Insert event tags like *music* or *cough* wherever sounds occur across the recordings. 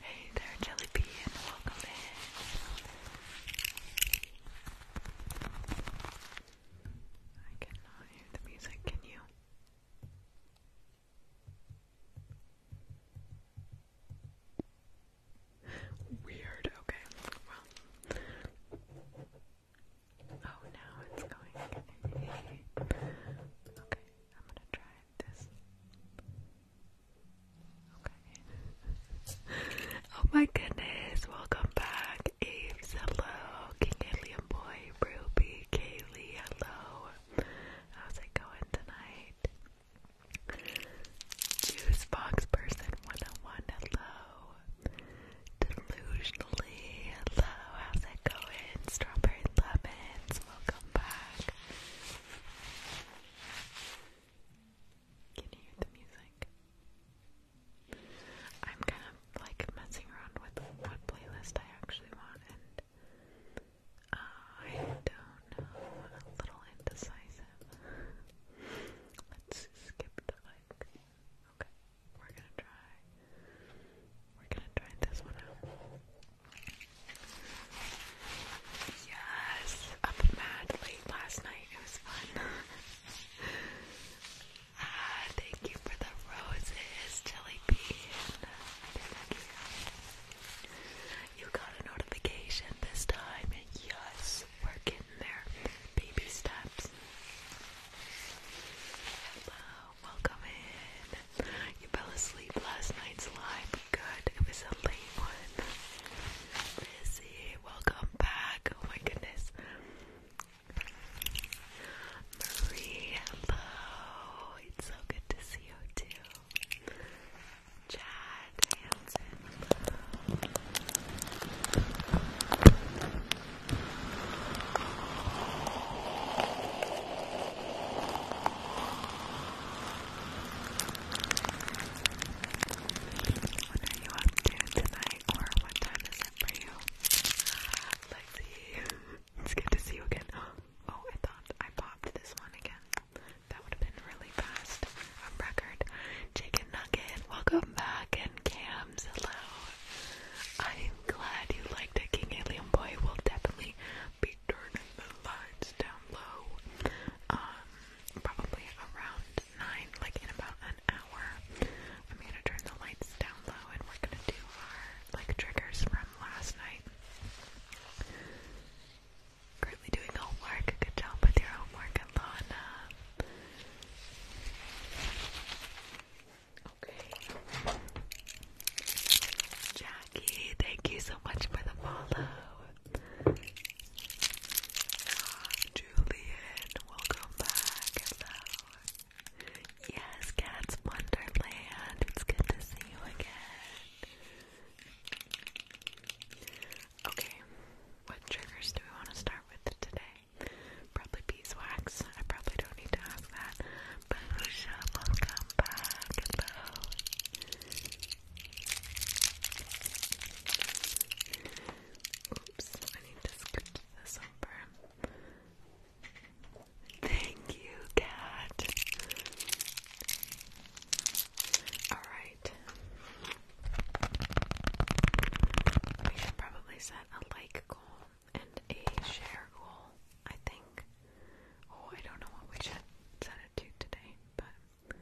Hey there, Jelly welcome in. I cannot hear the music, can you? Weird, okay. Well, Oh, now it's going. okay, I'm gonna try this. Okay. oh my goodness, welcome back, Aves. Hello, King Alien Boy, Ruby, Kaylee. Hello. How's it going tonight? Juice Box Person 101. Hello. Delusionally, hello, how's it going? Strawberry lemons, welcome back. Can you hear the music? I'm kind of like messing around with what playlist I actually want, and I don't know, a little indecisive. Let's skip the mic. Okay, we're gonna try. We're gonna try this one out. Yes, up mad last night. It was fun. *laughs* ah, thank you for the roses, Jelly Bean. I you got a notification this time. Yes, we there. Baby steps. Hello, Welcome in. You fell asleep last night's live. Good. It was a late one. Busy. Welcome back. Oh my goodness. Marie, hello. It's so good to see you too. Chad Hansen, what are you up to tonight, or what time is it for you? let *laughs* It's good to see you again. Oh, I thought I popped this one again. That would have been really fast. A record. Chicken Nugget, welcome back. And Cam, I'm glad you liked it, King Alien Boy. We'll definitely be turning the lights down low. Um, probably around nine, like in about an hour. I'm gonna turn the lights down low, and we're gonna do our like triggers from last night. Currently doing homework. Good job with your homework, Alana. Okay. Jackie, thank you so much for the follow. Ah, Julian, welcome back. Hello. Yes, Cats Wonderland. It's good to see you again. Okay, what triggers do we want to start with today? Probably beeswax. I probably don't need to have that. But Lucia, welcome back. Hello. Oops, I need to scoot this over. Thank you, cat. All right. We should probably set a like goal and a share goal, I think. Oh, I don't know what we should set it to today, but.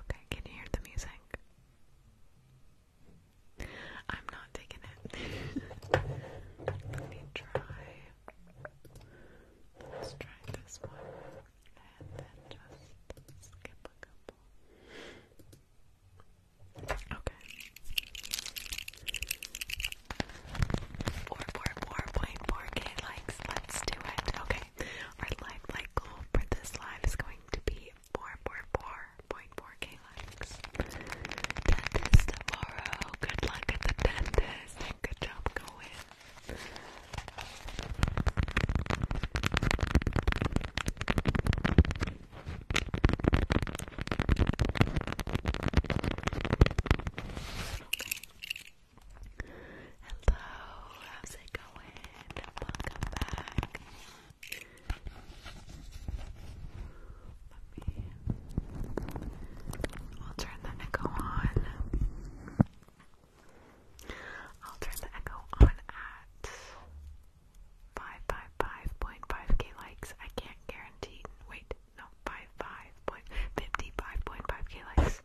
Okay, can you hear the music? I'm not taking it. *laughs* Let me try. Let's try this one and then just skip a couple. Okay. Four, four, four point four K likes. Let's do it. Okay. Our live like goal for this live is going to be four, four, four point four K likes. Dentist tomorrow. Good luck at the dentist. good job going. Hello, how's it going? Welcome back. I'll turn the echo on. I'll turn the echo on at 555.5k likes. I can't guarantee. Wait, no, 55.55.5k likes.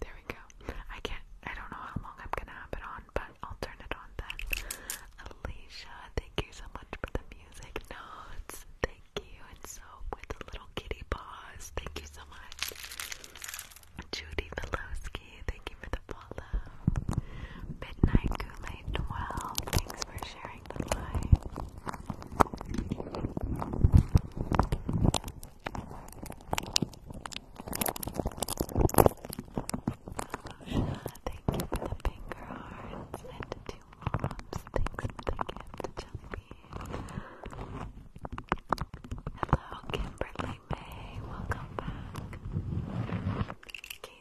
There we go. I can't, I don't know how long I'm gonna have it on, but I'll turn it on then. Alicia, thank you so much for the music notes. Thank you. And so, with the little kitty paws, thank you so much. Judy Velosky, thank you for the follow. Midnight kool 12, thanks for sharing during the live. thank you for the finger hearts and the two moms. Thanks for the gift, Jellybean. Hello, Kimberly May. Welcome back.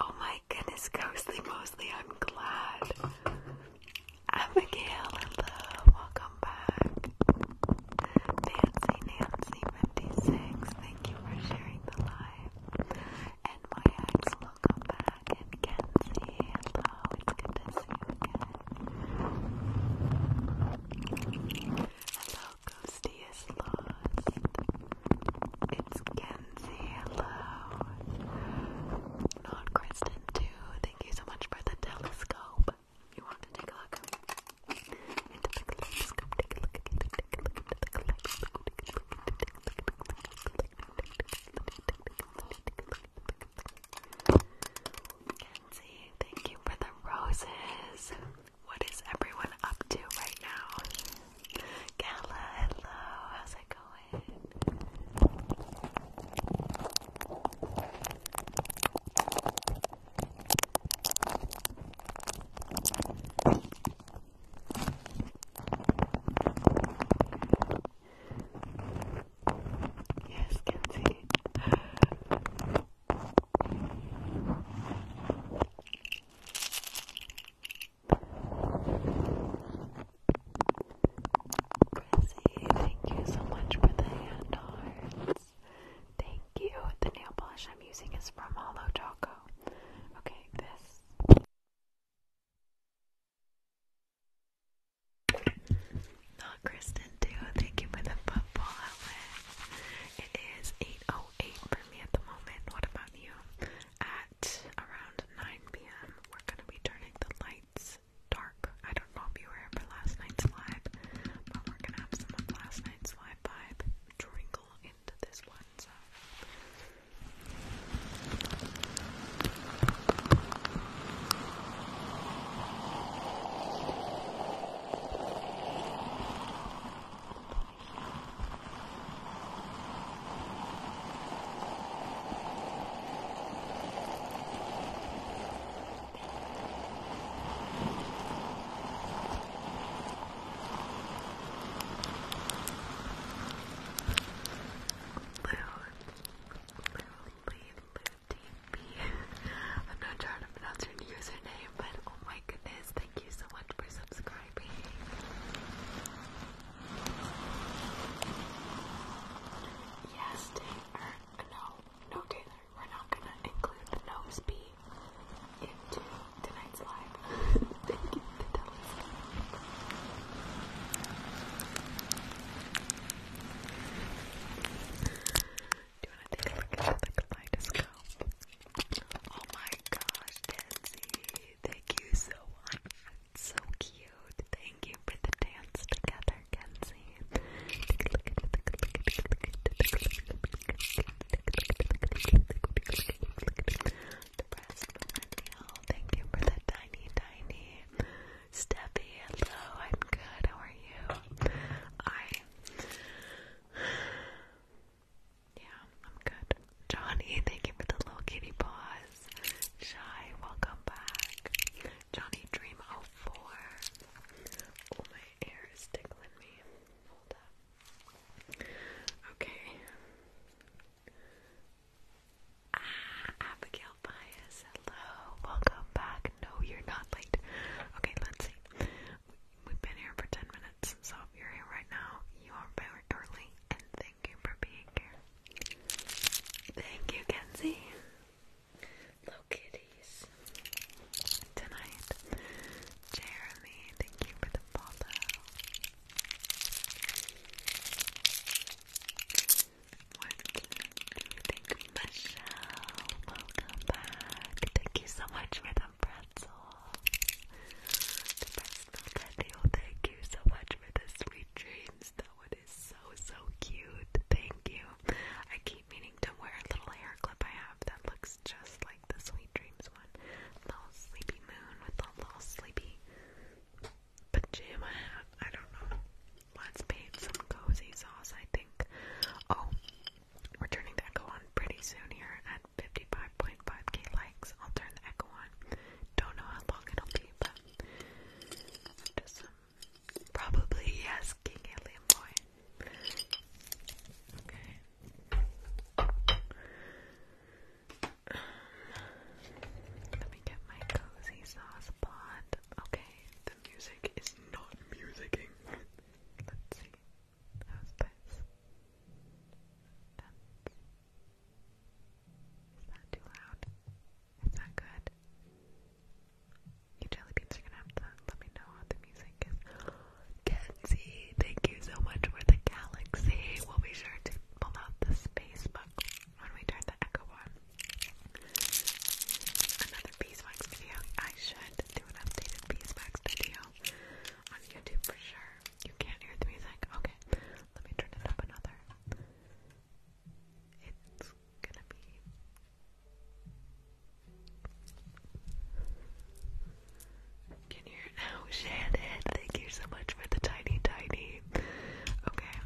Oh my goodness, Ghostly Mostly, I'm glad. Abigail, welcome back. Nancy, Nancy56, thank you for sharing the live. And welcome back. And Kenzie, hello, it's good to see you again. Ghosty is lost. It's Kenzie, hello. Not Kristen too. Thank you so much for the telescope. You want to take a look? Into the telescope, take a look, take a look, take a look into the telescope, take a look, take a look, take a look, take a look, take a look, take a look, Kenzie, thank you for the roses. What is everyone up to right now? Gala, hello, how's it going? Yes, Kenzie. Chrissy, thank you so much for the hand Thank you. The nail polish I'm using is from Holo Choco. Okay, this. Not Kristen too. Thank you for the football It is 8.01 eight for me at the moment. What about you? At around 9 p.m., we're gonna be turning the lights dark. I don't know if you were here last night's live, but we're gonna have some of last night's live vibe trickle into this one. So. Lou, Lou, Lou, I'm not trying to pronounce her username, but oh my my goodness, thank you so much for subscribing. Yes, Taylor. No, no, Taylor. We're not gonna include the nose bee into tonight's live. *laughs* thank you Do you want to take a look at the kaleidoscope? Oh my gosh, Nancy. Thank you so much. so cute. Thank you for the dance together, Kenzie. The breast millennial. Thank you for the tiny, tiny. Steffi, hello. I'm good. How are you? I. Yeah, I'm good. Johnny, thank you for the little kitty paws. Shy, welcome back. Johnny Dream 04. Oh, my hair is tickling me. Hold up. Okay. Ah, Abigail Bias, hello. Welcome back. No, you're not late. Okay, let's see. We've been here for 10 minutes. So if you're here right now, you are very early, and thank you for being here. Thank you, Kenzie. Hello, kitties. Tonight, Jeremy, thank you for the follow. What you Michelle? Welcome back. Thank you so much for the some pretzel patio. Thank you so much for the sweet dreams. That one is so so cute. Thank you. I keep meaning to wear a little hair clip I have that looks just like the sweet dreams one. Little sleepy moon with a little sleepy pajama hat. I don't know. Let's paint some cozy sauce. I think. Oh, we're turning the echo on pretty soon here at 55.5k likes. I'll turn the echo on. Don't know how long it'll be, but probably yes, King Alien Boy. Okay. let me get my cozy sauce pot. Okay, the music is not musicking. Let's see housepets. That's... Is that too loud? Is that good? You jelly are gonna have to let me know how the music is. Kenzie, thank you so much for the galaxy. We'll be sure to pull out the space book when we turn the echo on. Another beeswax video. I should do an updated beeswax video on YouTube for sure. You can't hear the music. Okay, let me turn it up another. It's gonna be. Can hear it now? Shannon, thank you so much for the tiny, tiny. Okay.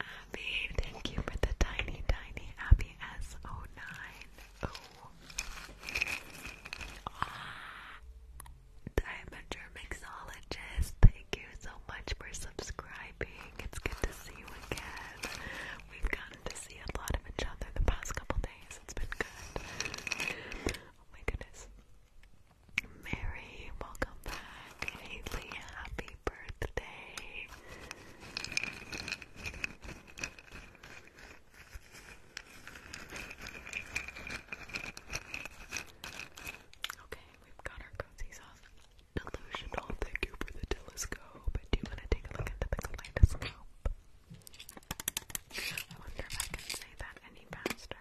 Abby, thank you for the tiny, tiny Abby S09. Oh. I'm a Germanxologist. Thank you so much for subscribing. It's good to see you again. We've gotten to see a lot of each other the past couple days. It's been good. Oh my goodness. Mary, welcome back. Haley, happy Okay, we've got our cozy sauce. Delusional, thank you for the telescope. Do you want to take a look into the kaleidoscope? I wonder if I can say that any faster.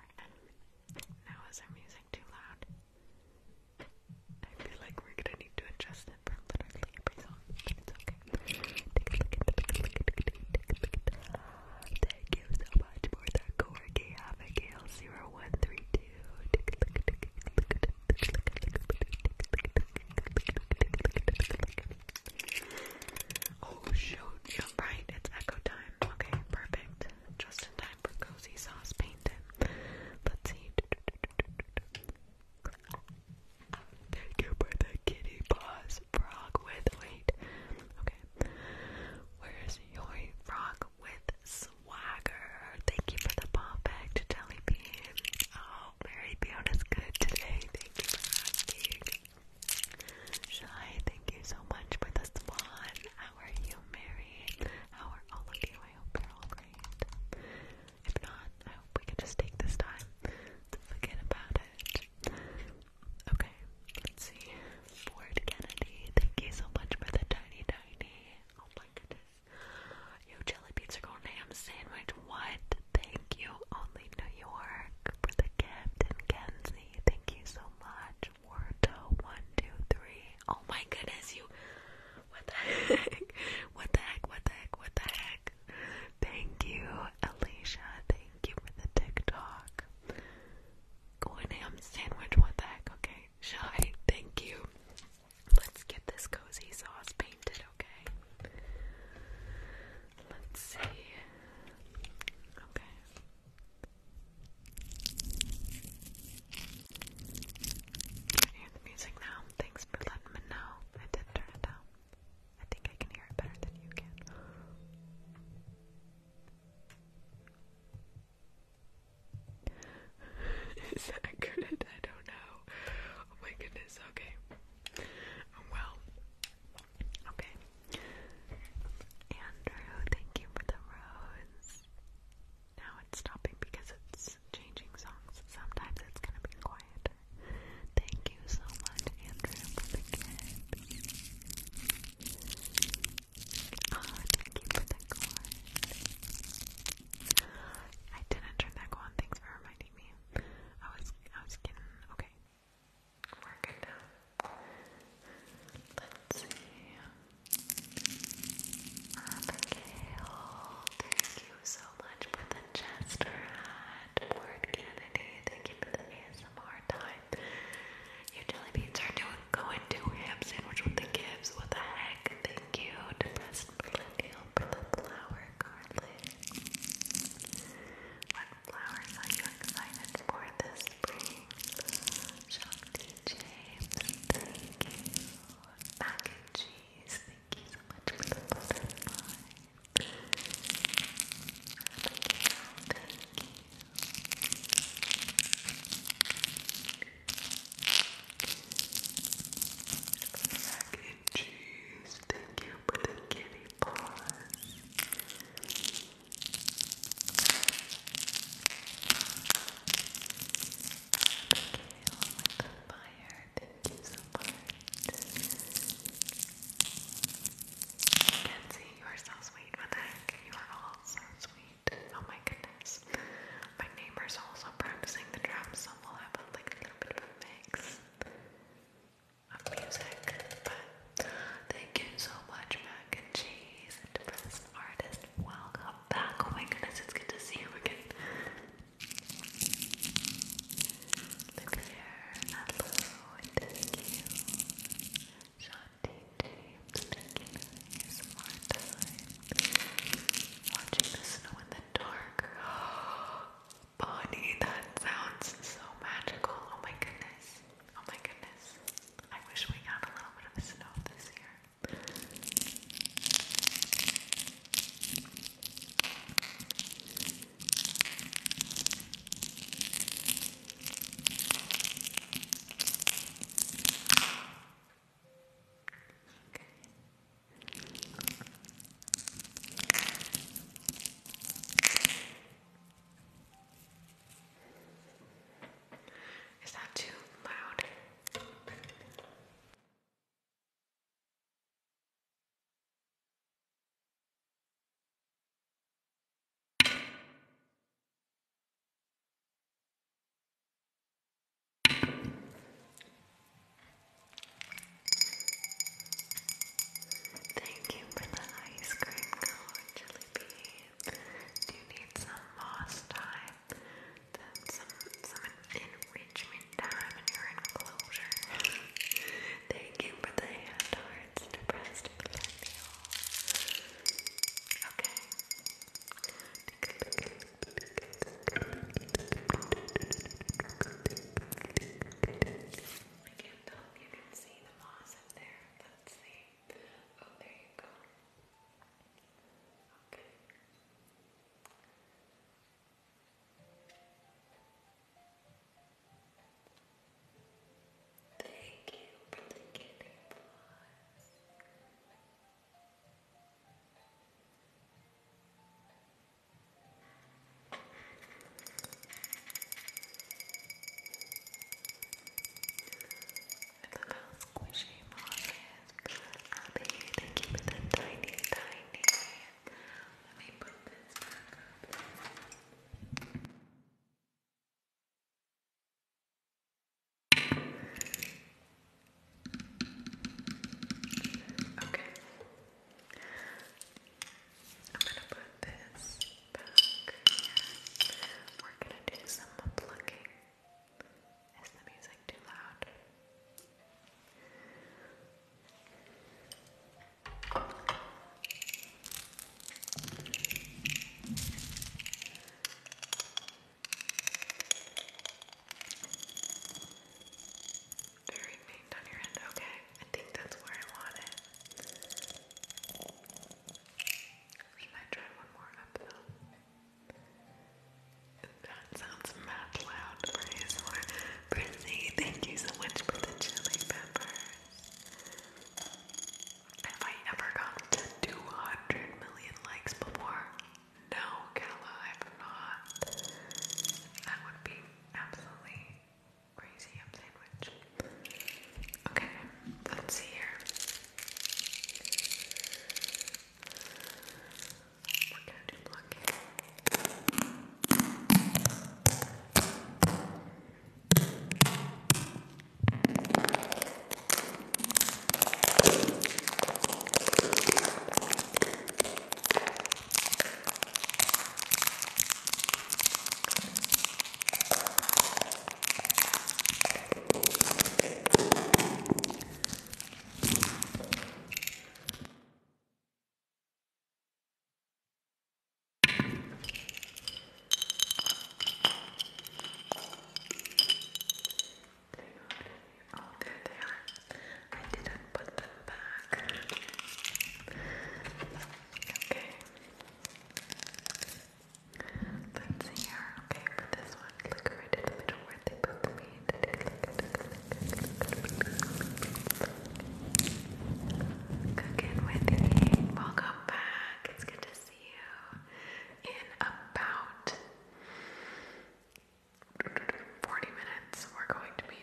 Now is our music too loud? I feel like we're gonna need to adjust it for literally every song, but it's okay. Thank you so much for the Corgi Abigail a look take Oh shoot, you right, it's echo time. Okay, perfect. Just in time for cozy sauce painting. Let's see. Thank you for the kitty paws frog with wait. Okay. Where's your frog with swagger? Thank you for the perfect jelly bean. Oh, Mary Fiona's good today. Thank you for asking. Shy, thank you so much for the swan. How are you, Mary? How are all of you? I hope you're all if not, I hope we can just take this time to forget about it. Okay, let's see. Ford Kennedy, thank you so much for the tiny, tiny. Oh my goodness. Yo, Jelly Pizza Girl Ham Sandwich, what? Thank you, only New York, for the gift. And thank you so much. Warto123, Oh my goodness, you. What the heck? *laughs* What the heck? What the heck? What the heck? Thank you, Alicia. Thank you for the TikTok. Going ham sandwich. What the heck? Okay. Shy. Thank you. Let's get this cozy sauce painted, okay? Let's see. Okay. Can you hear the music now? Thanks for letting me know. I did turn it down. I think I can hear it better than you can. *laughs* Is that good? I don't know. Oh my goodness, okay. Well, okay. Andrew, thank you for the rose. Now it's stopping because it's changing songs. Sometimes it's gonna be quiet. Thank you so much, Andrew, for the gift. Oh, thank you for the corn. I didn't turn that on. Thanks for reminding me. I was, I was getting okay. we Let's see. Abigail, thank you so much for the Chester hat. Word Kennedy, thank you for the ASMR time. You jelly beans are going to ham sandwich with the Gibbs. What the heck? Thank you, depressed millennial for flower garlic. What flowers are you excited for this spring? Shakti James, thank you mac and Thank you so much for the butterfly. Abigail, thank you. Mac and Thank you for the kitty paws fire. Thank you so much. Kenzie, you are so sweet. What You are all sweet. Oh my goodness. My neighbor's also practicing the drums, so we'll have a, little bit of a mix of music. But thank you so much, Mac and Cheese, artist Welcome back. Oh my goodness, it's good to see you again. Look there. Hello. Thank you. Shanti James, thank you for some more time. Watching the snow in the dark. *gasps* Bonnie, that sounds so magical. Oh my goodness. Oh my goodness. I wish we got a little bit of snow this year. Is that too loud? Thank you for the ice cream cone, Jelly Do you need some moss time? them some some enrichment time in your enclosure. *laughs* Thank you for the hand hearts, depressed millennial. Okay. I can't tell if you can see the moss up there. Let's Oh, there you go. Thank you for the kidding squishy mom Abby, thank you for the tiny, tiny. Let me put this back Okay. I'm gonna put this back We're gonna do some plucking. Is the music too loud? Very faint on your end. Okay, I think that's where I want it. We might try one more up though. That sounds mad loud for his more thank you so much for the chili peppers. Have I ever gotten to 200 million likes before? No, Kala, I've not. That would be absolutely crazy Okay, let's see here. We're gonna do blocking. Oh, there they are. I didn't put them back. Okay. Let's see here. Okay, for this one, look right in the middle where Cooking with me. Welcome back. It's good to see you in about 40 minutes. We're going to be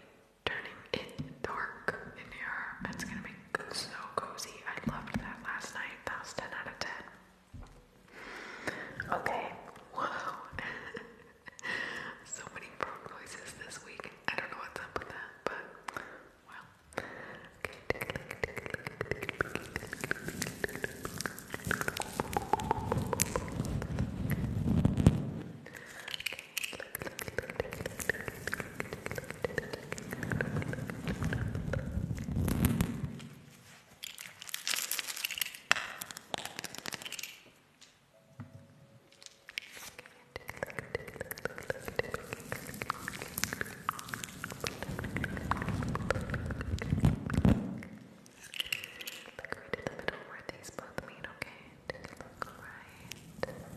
turning it dark in here. It's gonna be so cozy. I loved that last night. That was 10 out of 10. Okay. Whoa. *laughs* *laughs* *laughs* so many pro voices this week. I don't know what's up with that, but well. Look right in the middle where these both meet, okay? Just look right there.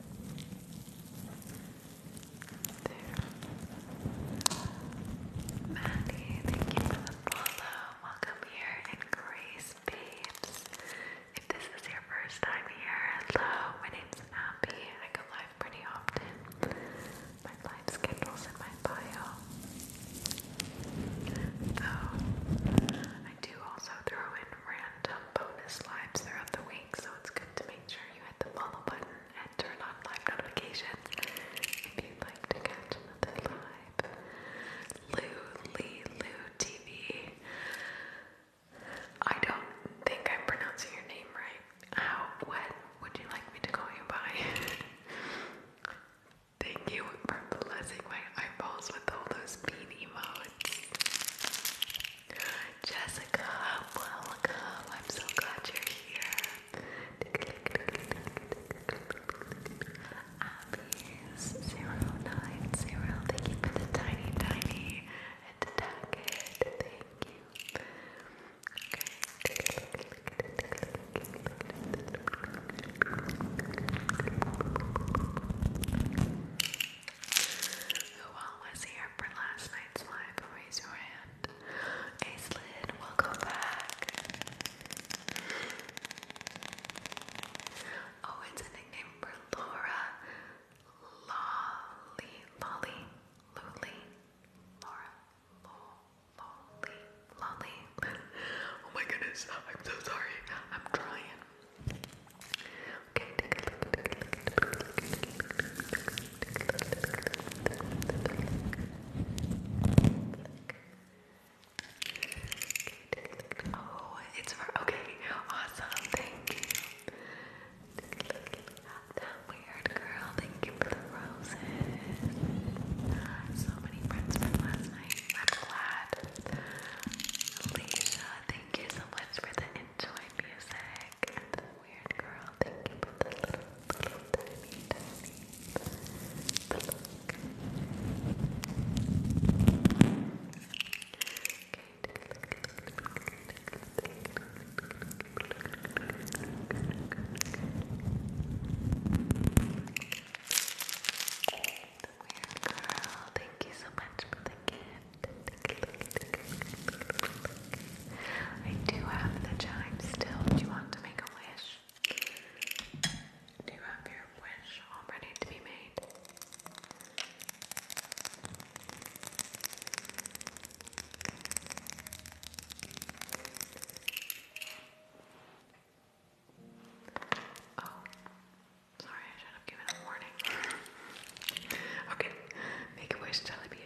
Maddie, thank you for the follow. Welcome here. And Grace, if this is your first time here, hello, my name's Abby. I go live pretty often. My live schedule's in my bio. Though, I do also throw in random bonus lives throughout the week, so it's good to make sure you hit the follow button and turn on live notifications if you'd like to catch another live. Lou TV. I don't think I'm pronouncing your name right. How? What would you like me to call you by? *laughs* Thank you for blessing my eyeballs with all those bean Jessica, welcome. I'm so glad you're here. Abby's090, thank you for the tiny, tiny and tag Thank you. Who was here for last night's live? Raise your hand. Aislinn, welcome back oh, it's a nickname for Laura. Lolly, Lolly, Lolly, Laura, Lolly, Lolly. oh my goodness, I'm so sorry. I'm trying. Oh, it's okay. Awesome. Thank you. weird girl. Thank you for the roses. So many friends from last night. I'm glad. Alicia, thank you so much for the enjoy music. weird girl. Thank you for the little, little tiny, tiny. little girl, thank you so much for the gift. I do have the chime still. Do you want to make a wish? Do you have your wish all ready to be made? Oh, sorry, I should have given a warning. okay, make a wish, Jellybean.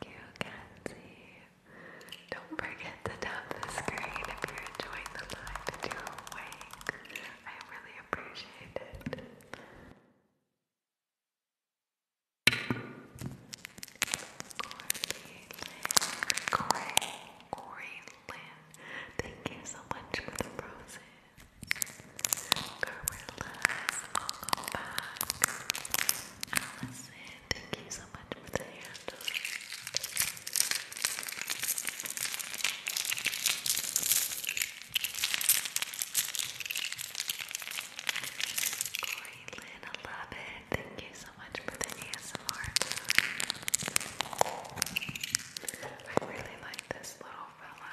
Thank you, Kenzie. Don't forget to tap the screen if you're enjoying the live and I really appreciate it. Corey Lynn. Corey Lynn. Thank you so much for the roses. Gorillas, welcome back. thank you so much for the handle. Corey I love it. Thank you so much for the ASMR. I really like this little fella.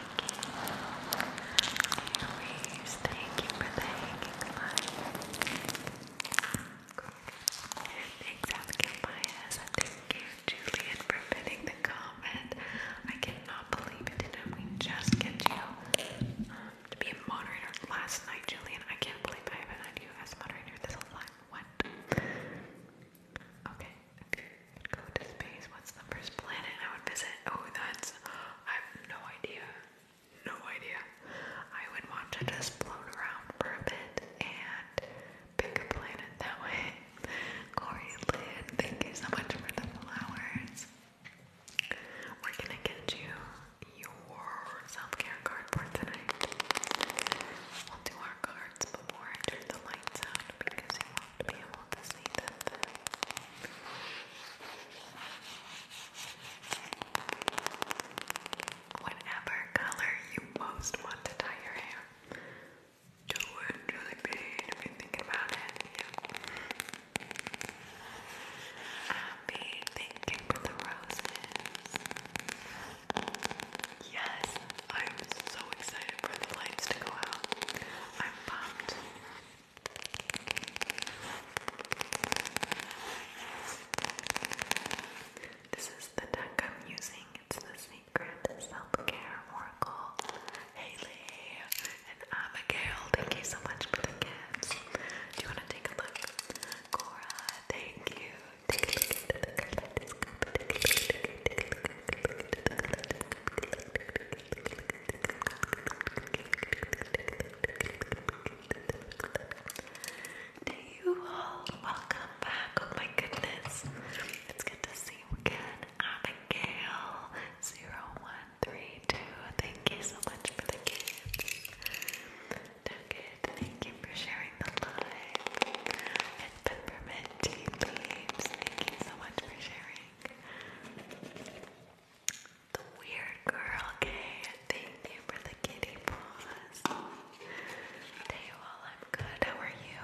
Anyways, thank you for the hanging light. Cool. Thanks, Abigail Bias, thank you, Julian, for fitting the comment. I cannot believe it did we just get you to be a moderator last night, Julian? I can't believe I haven't had you as a moderator this whole time. What? Okay, Go to space. What's the first planet I would visit? Oh, that's. I have no idea. No idea. I would want to float around for a bit and pick a planet that way. *laughs* Corey Lynn, thank you so much for the flowers. We're gonna get you your self care card tonight. We'll our cards before I turn the lights out because be Whatever color you most want to dye your hair. Do it, really big if you thinking about it. Yeah. Happy thinking for roses. Yes, I'm so excited for the lights to go out. This is the deck I'm using. It's the Secret Self Care Oracle. Haley and Abigail, thank you so much for the gifts. Do you want to take a look? Cora, thank you. Take a look to you all, welcome back. Oh my goodness. It's good to see you again. Abigail0132. Thank you so much for the gifts. Thank you for sharing the live peppermint tea leaves. Thank you so much for sharing. The weird girl, okay? Thank you for the kitty paws. Daywall, I'm good. How are you?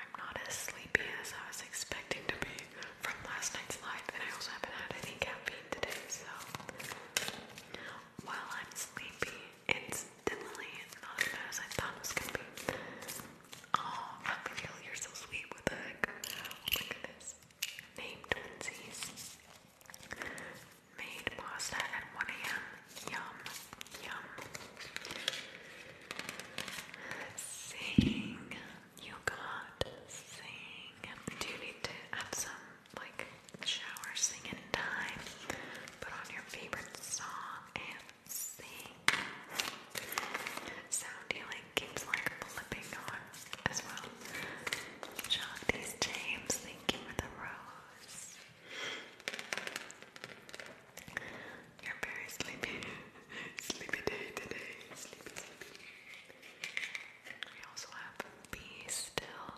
I'm not as sleepy as I was expecting to be from last night's live, and I also haven't had any caffeine today, so while I'm sleepy, it's not Oh, how can you? are so sweet oh my goodness. Name twinsies. Made pasta at 1 a.m. Yum, yum. Sing. You got sing. Do you need to have some like shower singing time? Put on your favorite song and Sound healing keeps like flipping on as well. Shanti's James, thank you for rose. You're very sleepy. *laughs* sleepy day today. Sleepy, sleepy. We also have Be Still.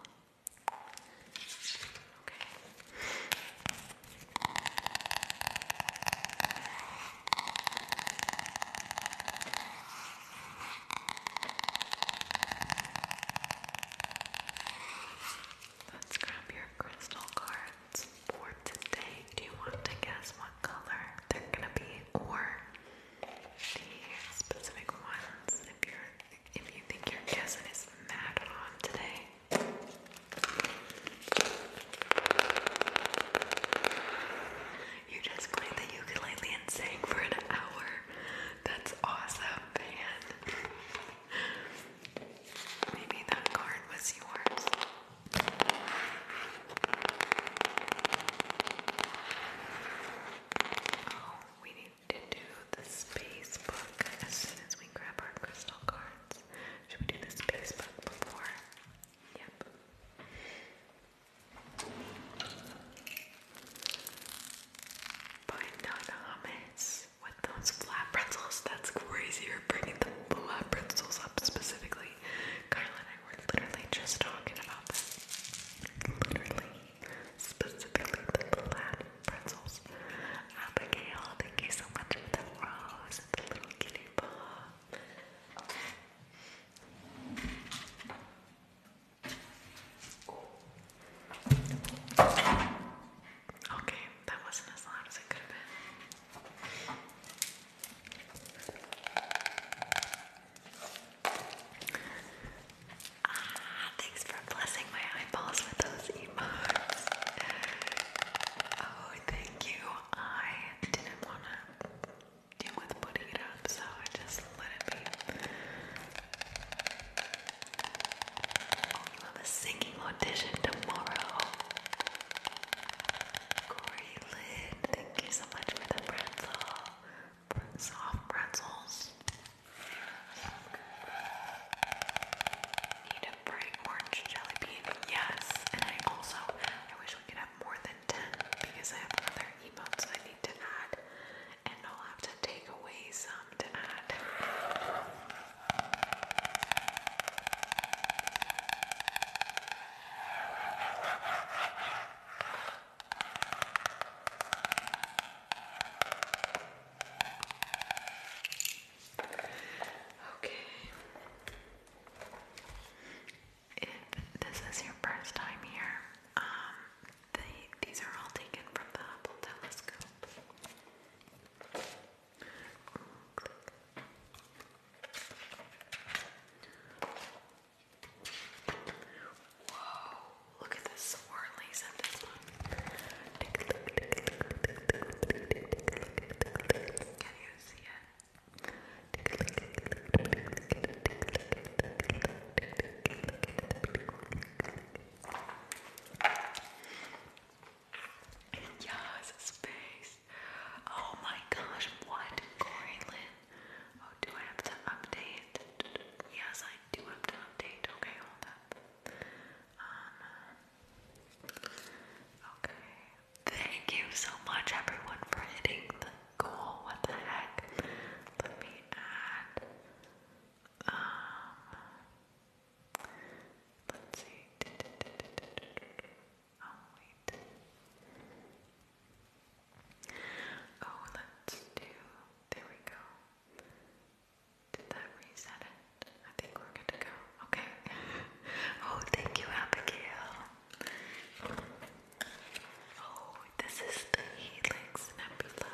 Let's grab your crystal cards for today. Do you want to guess what color they're gonna be or the specific ones if you're if you think your guessing is mad on today? You just played the ukulele and sang for an hour. That's awesome, Maybe that card was yours. Oh, we need to do the space book as soon as we and grab our crystal cards. Should we do the space before? Yep. By Nana Hummus with those flat pretzels. That's crazy. You're bringing the flat pretzels up specifically. Carla and I were literally just talking about this. Literally. Specifically the flat pretzels. Abigail, thank you so much Okay, that wasn't as loud as it could have been. Ah, thanks for blessing my eyeballs with those Oh, thank you. I didn't want to deal with putting so I just let it be. you oh, have a singing audition tomorrow. Corey Lynn, thank you so much for the pretzel. Soft pretzels. Need a bright orange jelly bean? Yes. And I also, I wish we could have more than 10 because I have other emotes I need to add. And I'll have to take away some to add. Okay. If this is your first time here, um, these are all taken from the Hubble telescope. Whoa! Look at the swirlies of this one. Can you see it? Yes, space. Oh my gosh, what, Corylin? Oh, do I have to update? Yes, I do have to update. Okay, hold up. Um, Okay. Thank you so much, everyone, for hitting the goal. What the heck? Let me add. Um. Let's see. Oh wait. Oh, let's do. There we go. Did that reset it? I think we're good to go. Okay. *laughs* oh, thank you, Abigail. Oh, this is the Helix Nebula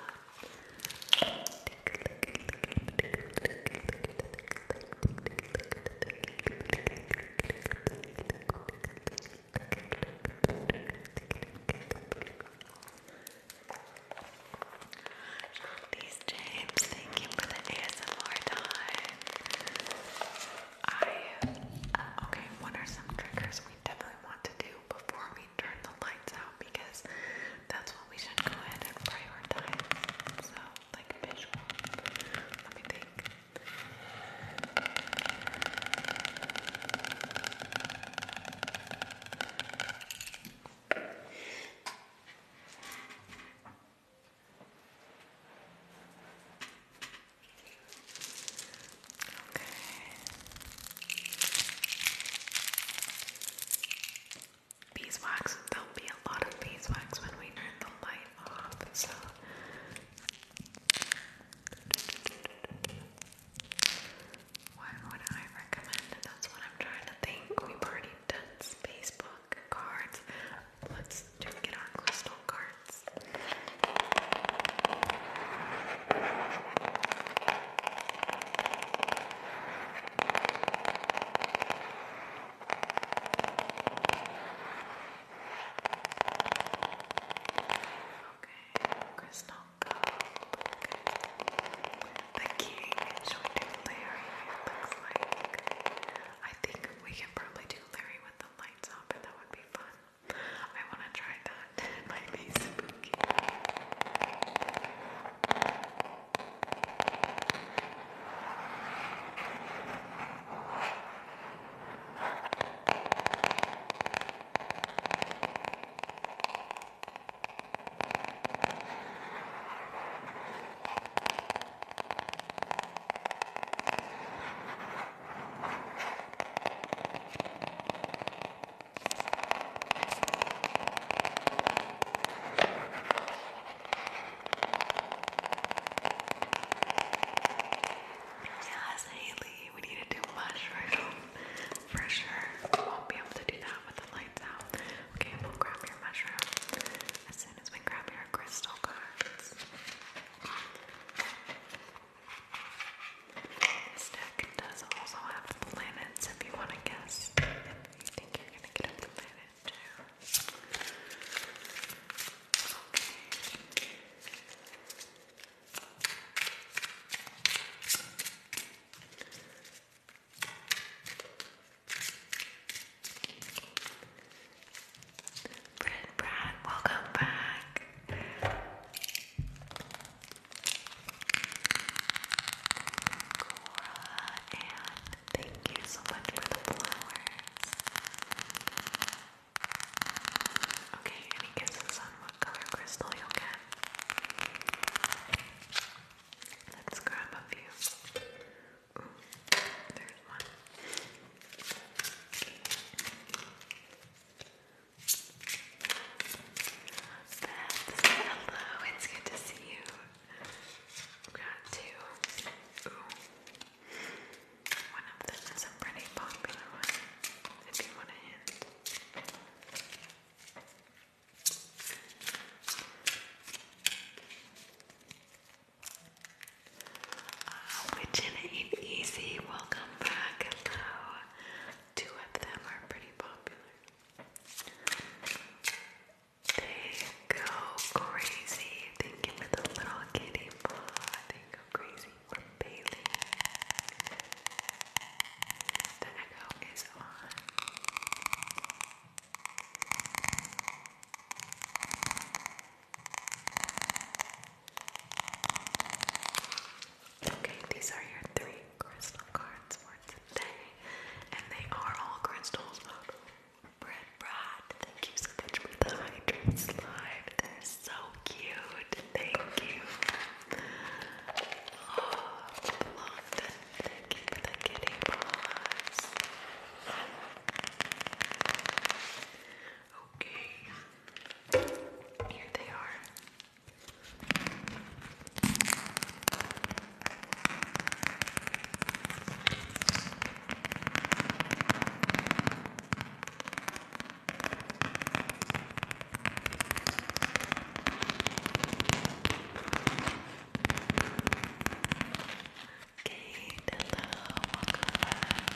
thank you uh, okay, what are some triggers we definitely want to do before we turn the lights out because that's what we should go ahead and prioritize. So like visual. Let me think. Beeswax, there'll be a lot of beeswax when we turn the light off, so. Why would I recommend That's what I'm trying to think. We've already done space cards. Let's do get our crystal cards. Okay, crystal gold. The king, should we do It looks like. I think we can probably do Larry with the lights up, and that would be fun. I want to try that. *laughs* it might be spooky. Yes, Haley, we need to do mushroom for sure. We won't be able to do that with the lights out. Okay, we'll grab your mushroom as soon as we grab your crystal cards. This does also have planets if you want to guess if you think you're going to get a planet too. Brad, Brad, welcome back. Cora, and thank you so much for the flowers. Okay, any guesses on what color crystal you'll get? Let's grab a few. There's hello, it's good to see you. got two. One of them is a pretty popular one, if you want a hint which ain't easy. Welcome back. Two of them are pretty popular. They go crazy. Thank you They go crazy for Bailey. The echo is on. Okay, these are your three crystal cards for today, and they are all crystals. Bread Brad, thank you so the hydrant slide. They're so cute. Thank you. Oh, London, thank you the kitty paws. Okay, here they are. Kate, hello, welcome back.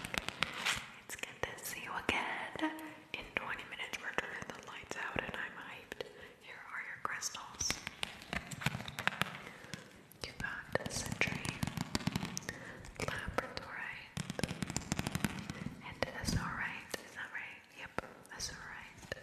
It's good to see you again. In 20 minutes, we're turning the lights out, and I'm hyped. Here are your crystals. You got Sentry, Labradorite, and Azorite. Is that right? Yep, Azorite.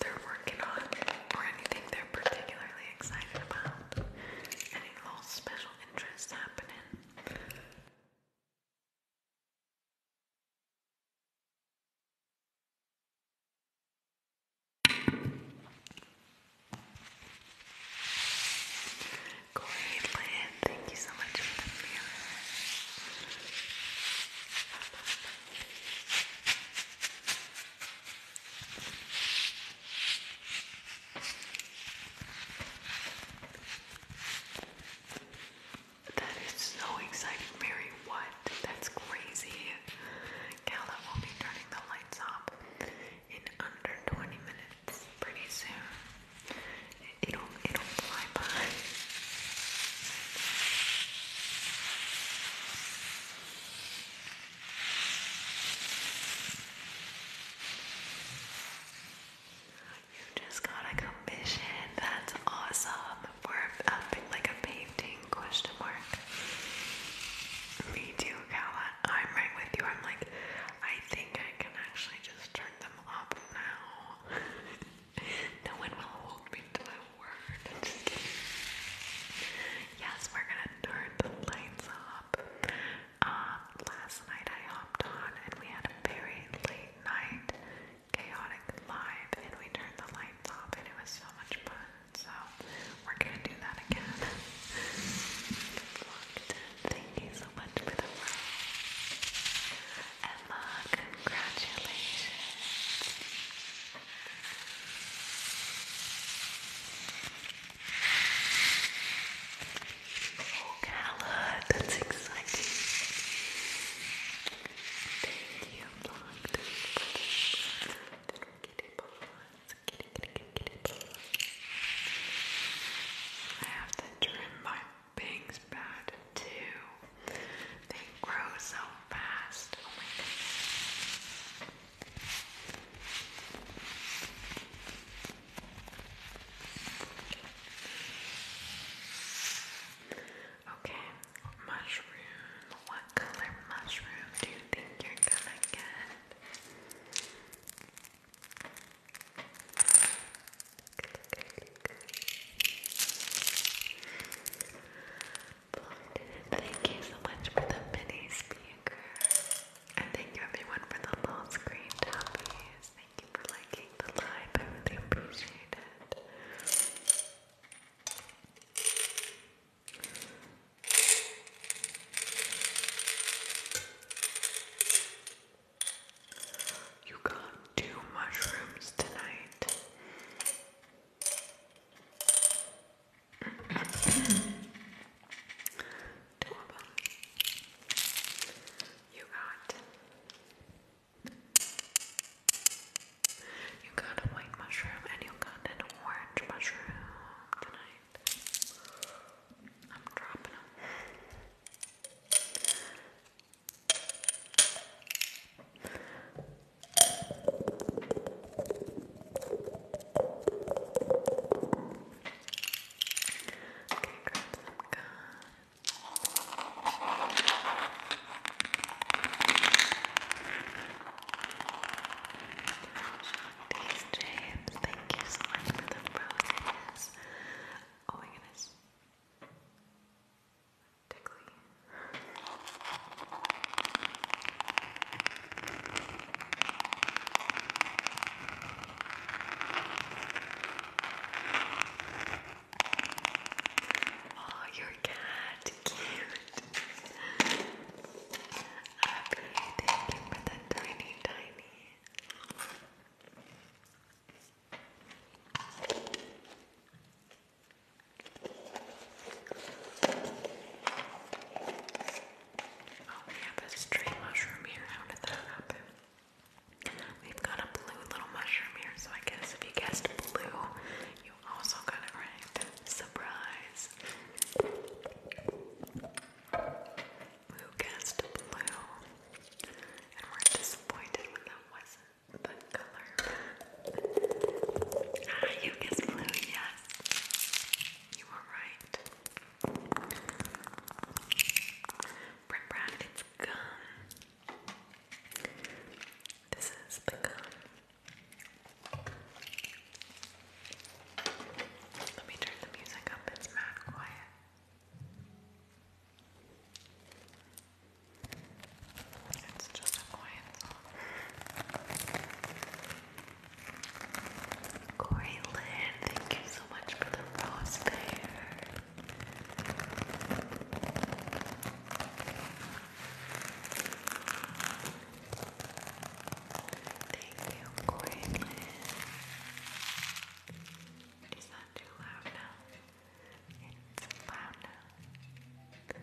they're working on or anything they're particularly excited about. Any little special interests happening. Great, Thank you so much for the mirror. That is so exciting, Mary. What? That's crazy. Gala will be turning the lights off in under 20 minutes pretty soon. It'll, it'll fly by. You just got a commission. That's awesome. For a, like a painting question mark. Me too, Kala. I'm right with you. I'm like, I think I can actually just turn them up now. *laughs* no one will hold me to that Yes, we're gonna turn the lights up. Um, last night I hopped on and we had a very late night chaotic live and we turned the lights off and it was so much fun. So we're gonna do that again. Thank you so much for the love. Emma, congratulations. Oh, that's exciting. Thank you, Blanc. I have to trim my bangs bad too. They grow so Oh my goodness. Okay, mushroom. What color mushroom do you think you're gonna get? Thank you so much for the mini speaker. And thank you everyone for the low screen toppies. Thank you for liking the live. I really appreciate it. You got two mushrooms tonight. Adorable. You got you got a white mushroom and you got an orange mushroom tonight. I'm dropping them. James, thank you so much for the roses. Oh my goodness. Tickly. Oh, your cat, cute. Happy, thank you for the tiny, tiny. Oh, we have a stray mushroom here. How did that We've got a blue little mushroom here, so I guess if you guessed blue, you also got it right. Surprise! Who guessed blue? And we're disappointed when that wasn't the color. Ah, you guess blue, yes. You were right. Brim Brad, it's gum. This is the gum. Let me turn the music up, it's mad quiet. It's just a quiet song. Corey thank you so much for the rose Thank you, Corey Lynn. Is too loud now? It's loud now.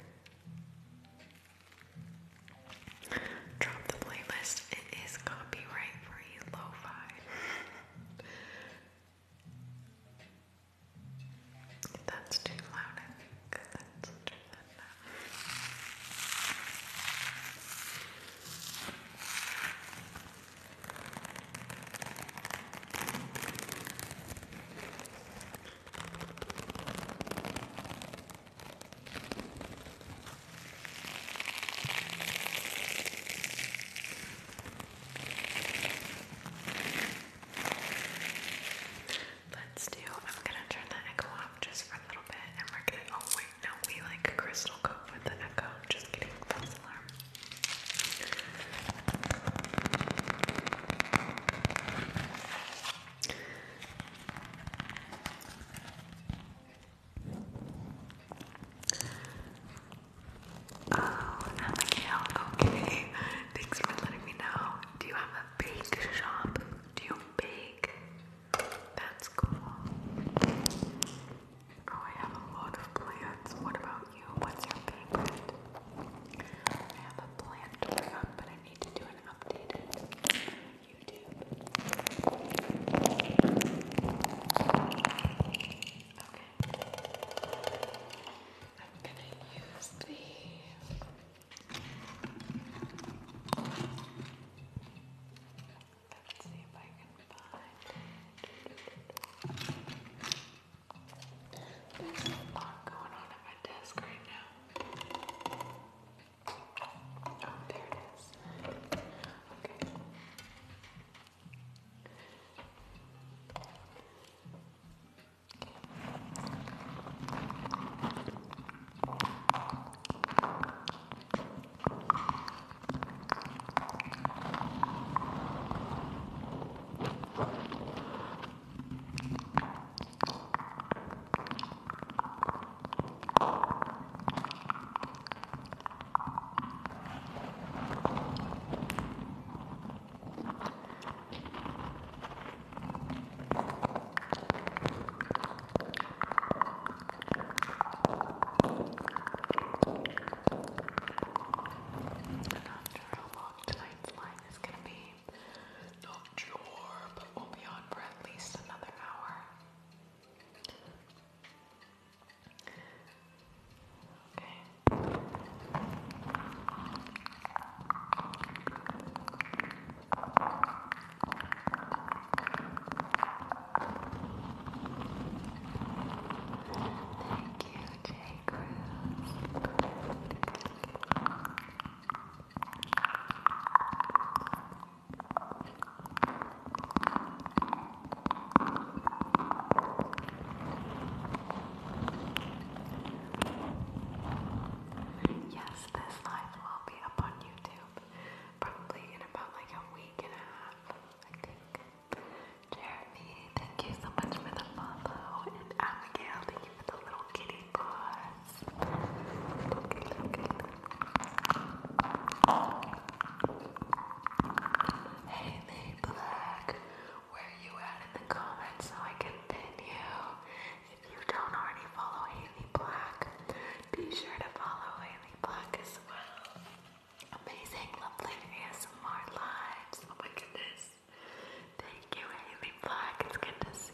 Drop the playlist. It is copyright free lo-fi. That's too loud, I think. Let's do that now. Let's do, I'm gonna turn the echo off just for a little bit and we're gonna, oh wait, no, we like crystal coat with the echo, just kidding, false alarm. Oh, Abigail, okay. Thanks for letting me know. Do you have a bake shop? Do you bake? That's cool. Oh, I have a lot of plants. What about you? What's your favorite? I have a plant going but I need to do an updated YouTube. Okay. I'm gonna use the Let's see if I can find There's a lot going on at my desk right now. Oh, there it is. Okay. Okay. Not sure how long tonight's line is going to be. Not sure, but we'll be on for at least another hour. Okay. Thank you, Jay Cruz. Yes, this live will be up on YouTube probably in about like a week and a half, I think. Jeremy, thank you so much for the follow, and Abigail, thank you for the little kitty paws. Hey, Nate Black, where you at in the comments so I can pin you? If you don't already follow Haley Black, be sure to follow Haley Black as well. Amazing, lovely ASMR lives. Oh my goodness. Thank you, Haley Black. It's good to see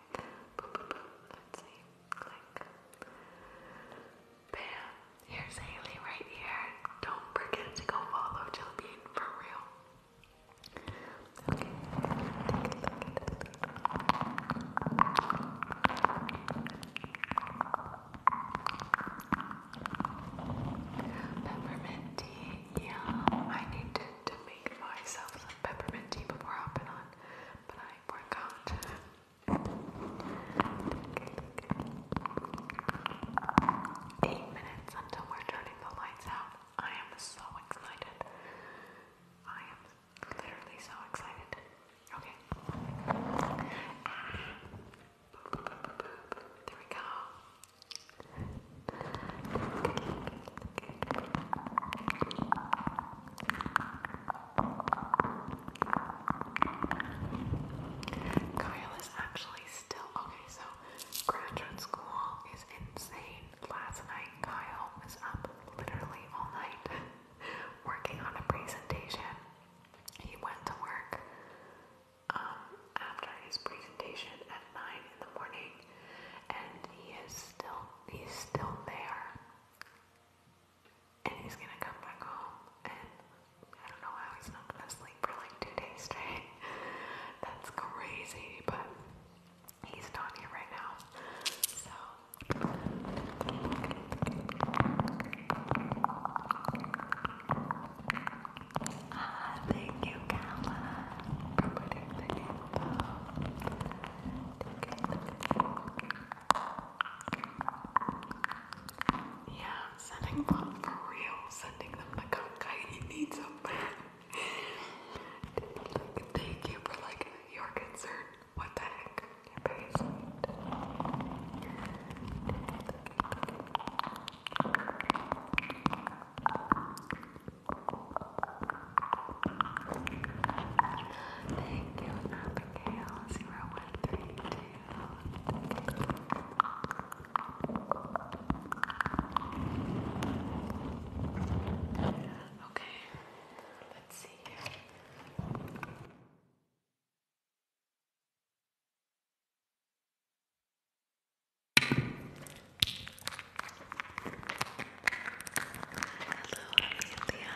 Boop, boop, Let's see. Click. Bam. Here's Haley right here. Don't forget to go follow Jillbean for real. Okay. Peppermint tea. Yeah, I need to make myself peppermint tea before hopping on, but I forgot. *laughs* Eight minutes until we're turning the lights out. I am so excited. I am literally so excited. Okay. There we go. Kyle is actually still okay, so graduate school is insane. Last night, Kyle was up literally all night *laughs* working on a presentation. He went to work um, after his presentation at 9 in the morning, and he is still he's still there. And he's gonna come back home, and I don't know how he's not gonna sleep for like two days straight. *laughs* That's crazy, but he's not here right now. So. Ah, yeah, sending love for real. Sending them the conkai. He needs them. Thank you for like your concern. What the heck? Thank you, Abigail. Zero one three two. Okay, let's see here. Hello, Amelia.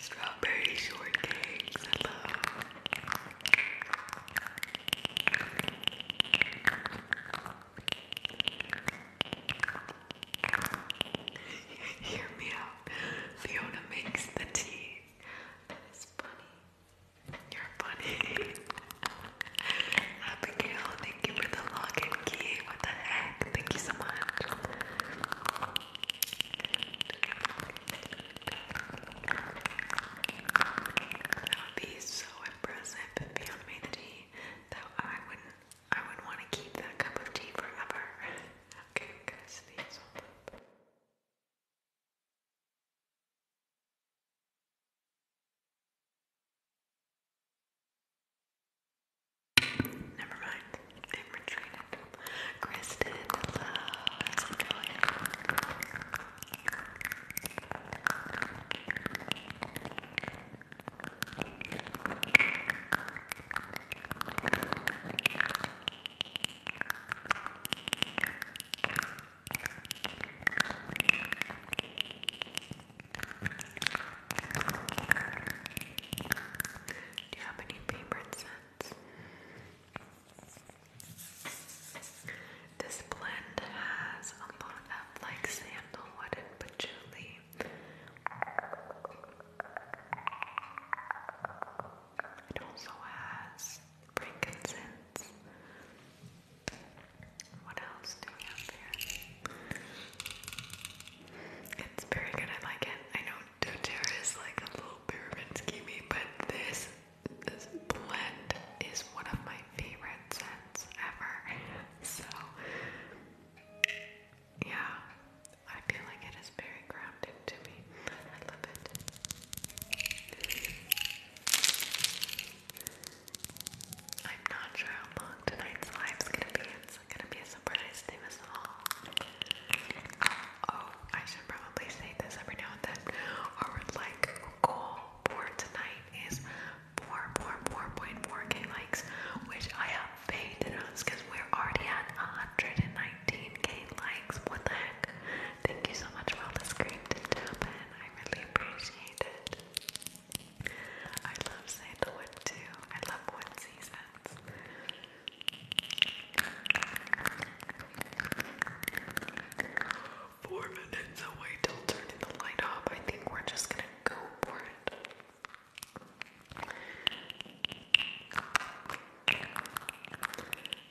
Strawberry shortcakes. *laughs* Hear me out. Fiona makes the tea. That is funny. You're funny. *laughs* Abigail, thank you for the login key. What the heck? Thank you so much. That would be so impressive Beyond made tea that I would I would want to keep that cup of tea forever. okay, guys, these up. Never mind. They've retreated. Kristen, hello. How's do you have any favorite scents? This blend has a lot of like sandalwood and patchouli. It also has frankincense. What else do we have here? It's very good, I like it. I know doTERRA is like a little pyramid schemey, but this, this blend is one of my favorite scents ever. So, yeah, I feel like it is very grounded to me. I love it. I'm not sure how long tonight's live's gonna be. It's is gonna be a surprise to us all. Oh, I should probably say this every now and then. Our like goal for tonight is 4.4.4k likes, which I have faith in because we're already at 119k likes. What the heck? Thank you so much for all the screams and I really appreciate it. I love sandalwood too. I love wood seasons. Four minutes away till turning the light off. I think we're just gonna go for it.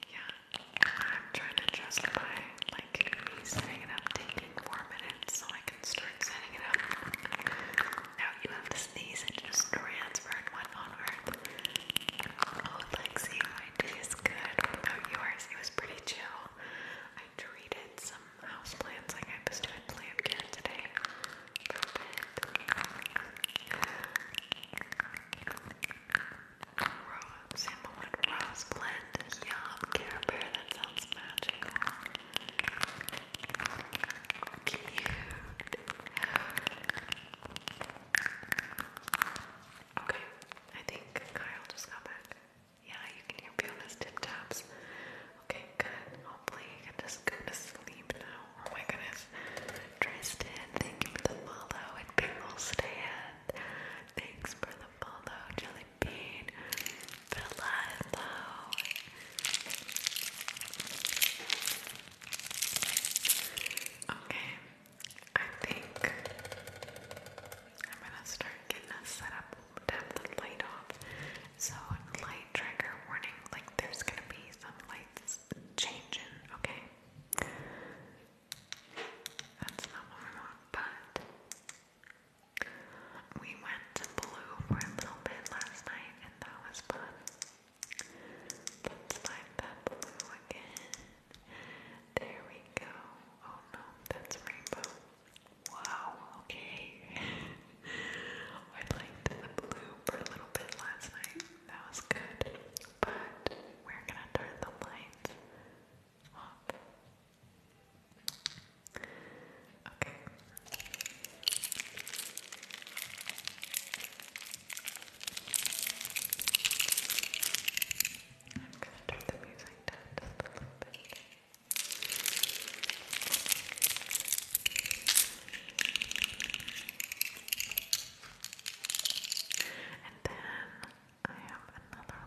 Yeah, I'm trying to justify like setting it up taking four minutes so I can start setting it up. Now you have to sneeze and just transfer it one onward. Oh, Lexi, my day is good. What about yours? It was pretty chill. I treated some houseplants like I was doing plant care today. Rose and the one rose blend. Yum, Care Bear, that sounds magical. Cute. Okay, I think Kyle just got back. Yeah, you can hear me on tip tops. Okay, good. Hopefully you can just go to sleep Oh my goodness. Tristan, thank you for the follow and Bingle Stand. Thanks for the follow, Jelly Hello, hello. Okay, I think I'm gonna start getting us set up to the light off. So, light trigger warning like, there's gonna be some lights changing, okay? That's not what but. We went to Blue for a little bit last night and that was fun. But it's time that Blue again. There we go. Oh no, that's Rainbow. Wow, okay. *laughs* I liked the blue for a little bit last night. That was good. But we're gonna turn the lights off. Okay. I'm gonna turn the music down just a little bit. And then I have another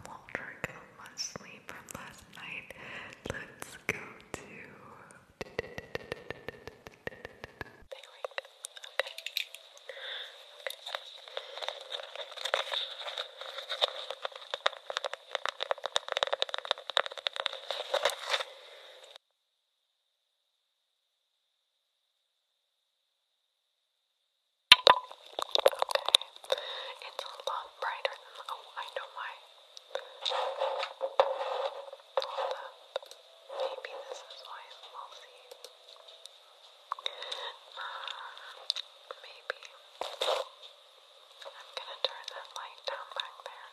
little trick on my sleeve from last night. Let's go to it's a lot brighter than, oh, I know why. Hold up. Maybe this is why it's mossy. Uh, maybe. I'm gonna turn that light down back there.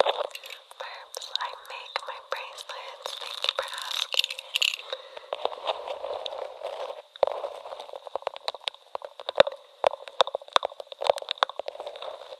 Perhaps I make my bracelets. Thank you for asking.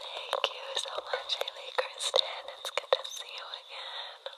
Thank you so much, Haley Kristen. It's good to see you again.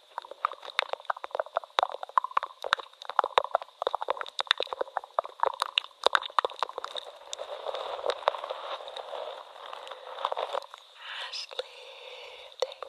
Ashley, thank you.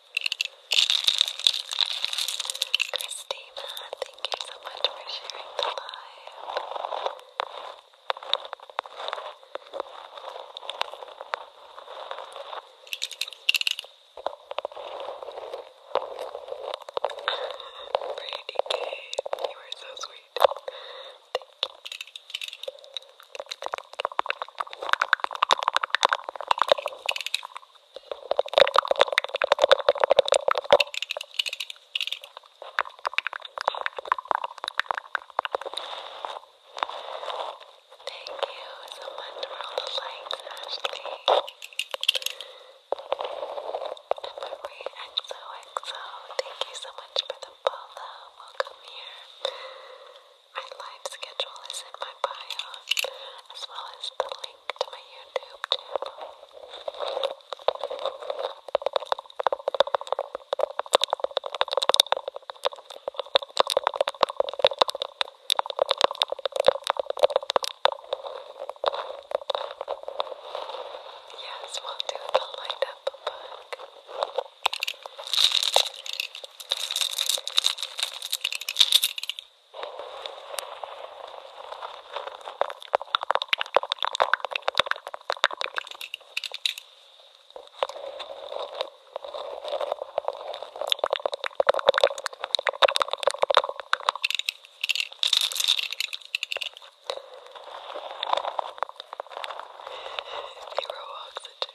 Christina, thank you so much for sharing the live. Brady Kate, you are so sweet. Thank you. Thank you so much for all the likes, Ashley. And Marie XOXO, thank you so much for the follow. Welcome here. My live schedule is in my bio, as well as the link to my YouTube channel. Yes, we'll do the light up book. Zero oxygen.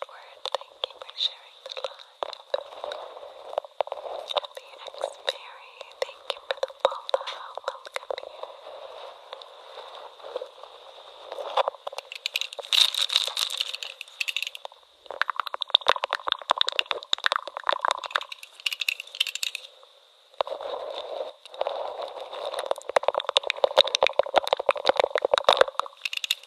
forward. Thank you for sharing the live. Happy X Mary, thank you for the follow. Welcome here. Thank you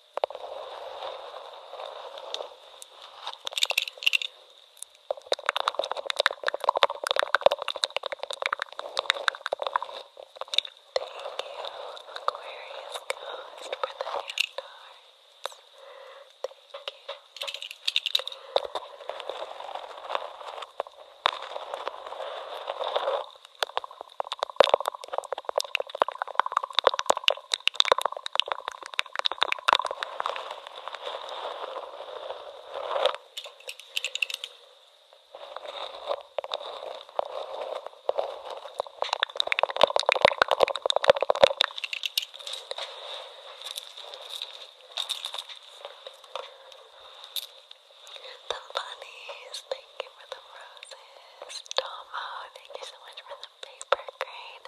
Aquarius Ghost for the hand arts. Thank you. The bunnies, thank you for the roses. Tomo, thank you so much for the paper crane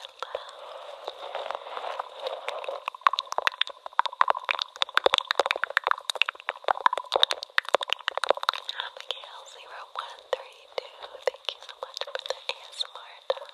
Abigail zero one three two. Thank you so much for the ASMR time.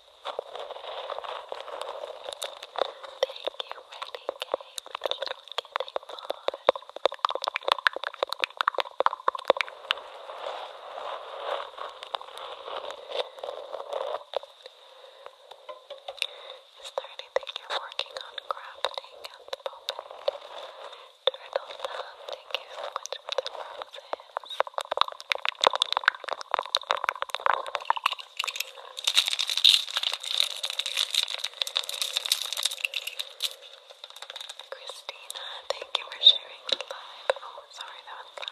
Is there anything you're working on crafting at the moment? Turtle Tom, thank you so much for the roses. Christina, thank you for sharing the live. Oh, sorry, that was loud.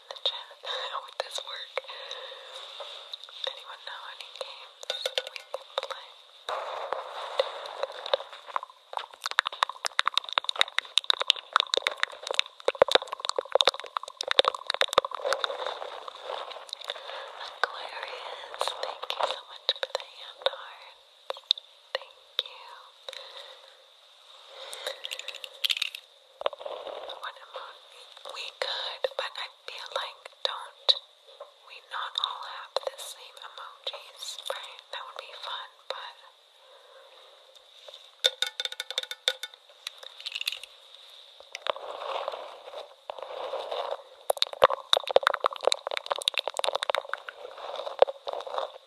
*laughs* would this work? Anyone know any games we can play? Aquarius, thank you so much for the hand heart. Thank you. We could, but I feel like don't we not all have the same emojis, right? That would be fun, but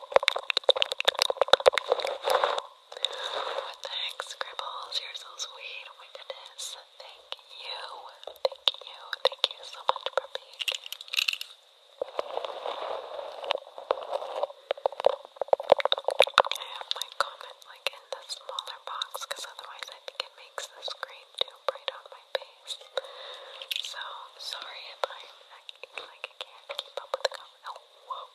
What Scribbles? You're so sweet. Oh Thank you. Thank you. Thank you so much for being here. I have my comment like in the smaller box because otherwise I think it makes the screen too bright on my face. So sorry if I'm like I can't keep up with the comment. Oh,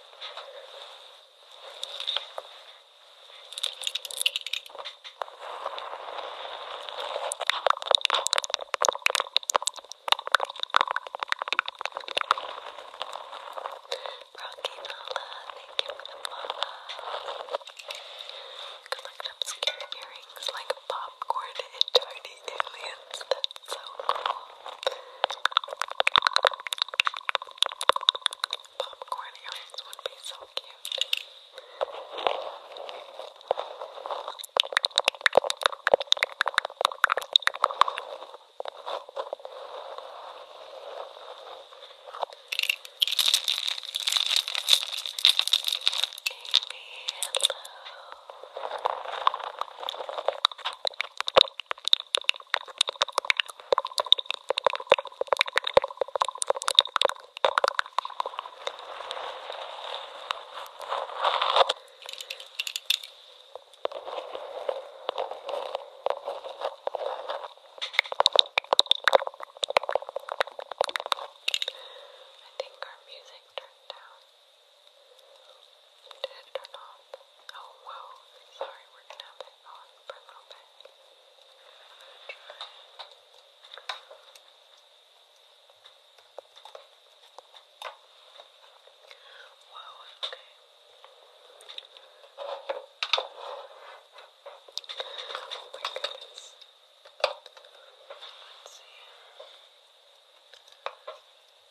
Rocky Nala, thank you for the mama. You can look up scary earrings like popcorn and tiny aliens. That's so cool. Popcorn aliens would be so cute. Amy, hello. I think our music turned down. Did it turn off? Oh, whoa. Sorry, we're gonna have it on for a little bit. Try Whoa, okay. Oh my goodness. Let's see.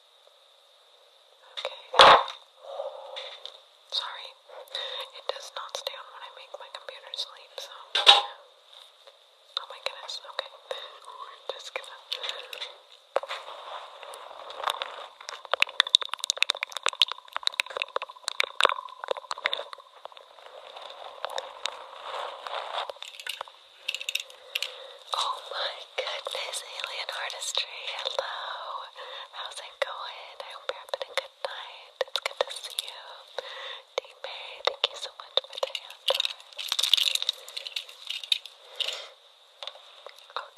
Okay. Sorry. It does not stay on when I make my computer sleep, so. Oh my goodness. Okay. just gonna. Oh my goodness, alien artistry. Hello. How's it going? I hope you're having a good night. It's good to see you. D Mary, thank you so much for the hand. Okay,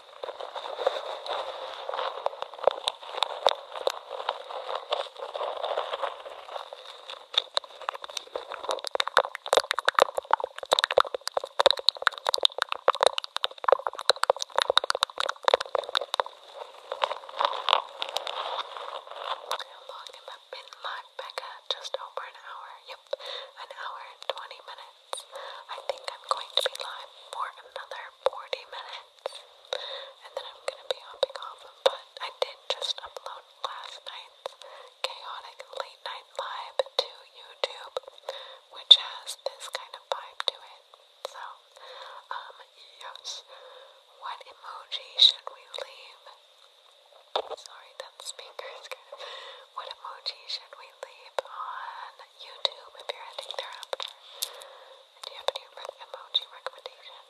How long have I been live, Becca? Just over an hour. Yep, an hour and 20 minutes. I think I'm going to be live for another 40 minutes. And then I'm gonna be hopping off But I did just upload last night's chaotic late night live to YouTube, which has this kind of vibe to it. So, um, yes. What emoji should we leave? Sorry, that speaker is kind *laughs* What emoji should we leave on YouTube if you're heading thereafter. And do you have any re emoji recommendations?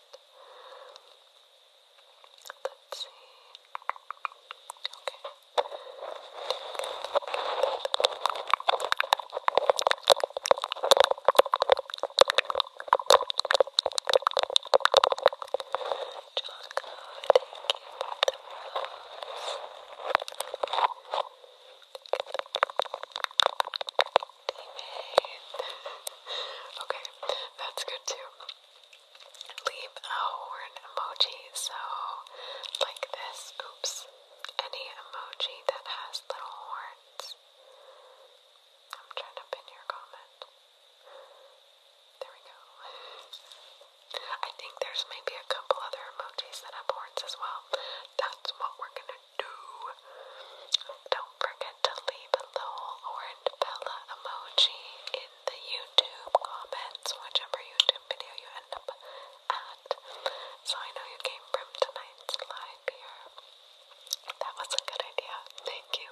Let's see. Okay. Jocko, thank you for the rose okay, that's good too. Leave a horn emoji. So, like this. Oops. Any emoji that has little horns. I'm trying to pin your comment. There we go. I think there's maybe a couple other emojis that have horns as well. That's what we're gonna do. not forget to leave a little orange bella emoji in the YouTube comments, whichever YouTube video you end up at. So I know you came from tonight's live here. That was a good idea. Thank you.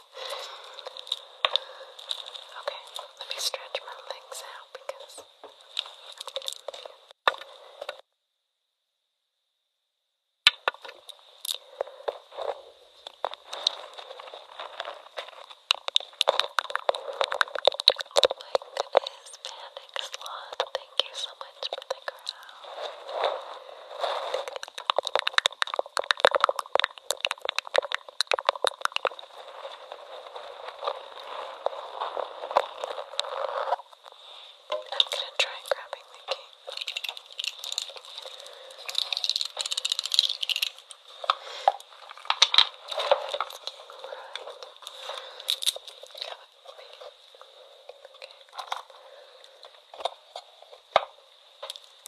Okay, let me stretch my legs out because I'm getting Oh my goodness, Panic Slot, thank you so much for the I'm going to try grabbing the key. Okay.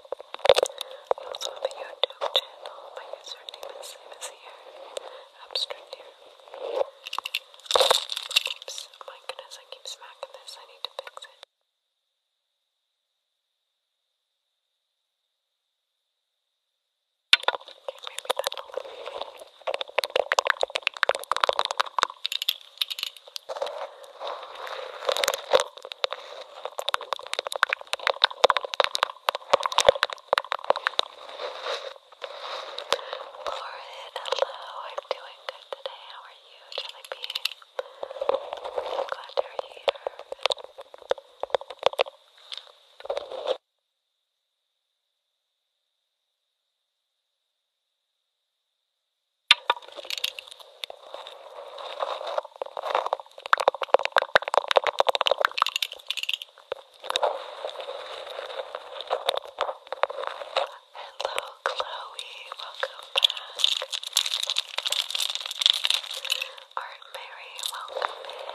Also the YouTube channel. My username is same as here. Abstract here. Oops, my goodness, I keep smacking this. I need to fix it. Okay, maybe that'll be Lauren, hello. I'm doing good today. How are you, Jelly Bean? I'm glad you're here. Hello, Hello, Chloe. Welcome back. Art Mary, welcome in.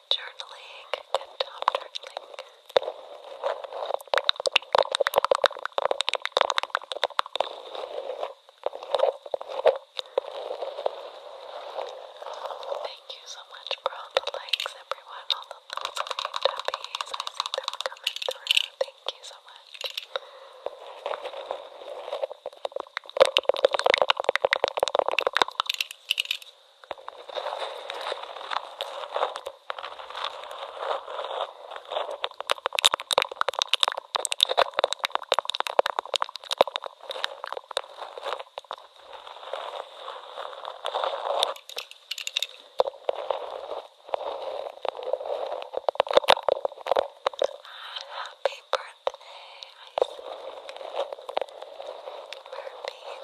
Thank you so much for the likes, everyone, all the little green puppies. I see them Thank you so much. Happy birthday, Murphy.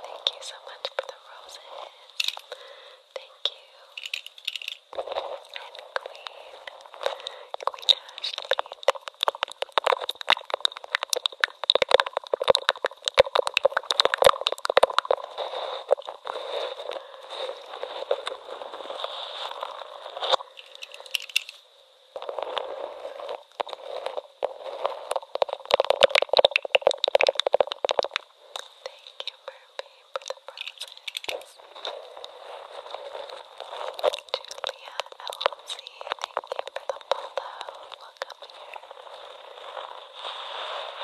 Thank you so much for the roses. Thank you. And Queen. Queen Ashley. Thank you, Thank you, Burpy, for the roses. Julia LC, thank you for the follow. Welcome here.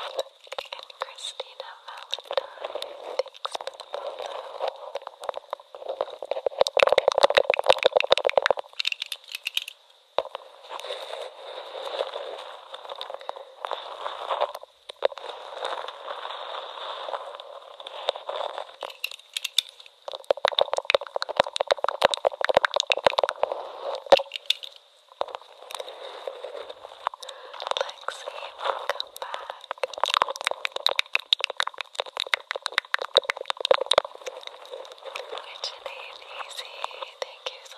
And Christina Valentine, thanks for the follow. Thank you, Christina. Lexi, welcome back. Richard Easy, thank you so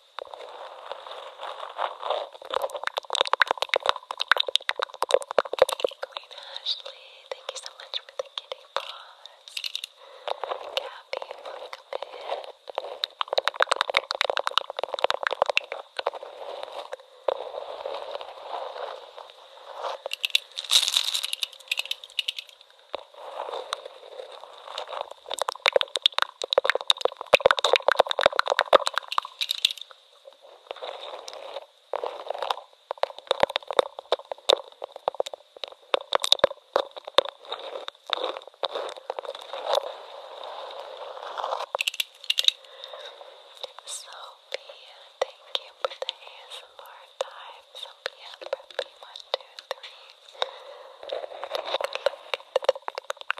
Queen Ashley, thank you so much for the kitty paws. Gabby, welcome in. Thank Sophia, thank you for the ASMR time. Sophia, Preppy, one, two, three. Good luck.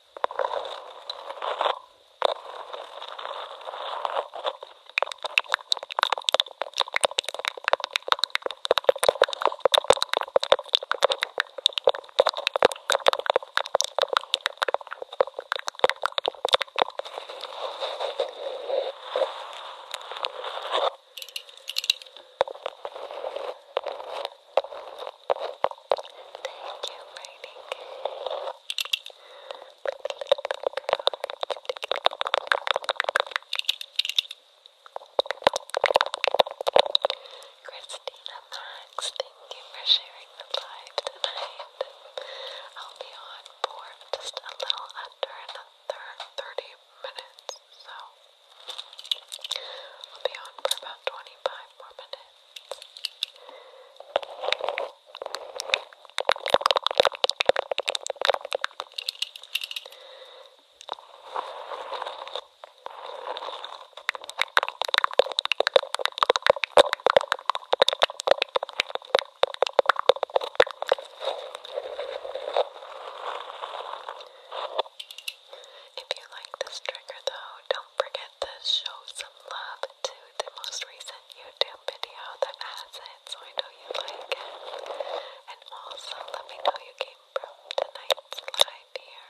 Thank you, Mighty King. Christina Max, thank you for sharing the live tonight. I'll be on for just a little under another 30 minutes, so I'll be on for about 25 more minutes. If you like this trigger though, don't don't forget to show some love to the most recent YouTube video that has it, so I know you like it. And also, let me know you came from tonight's live here.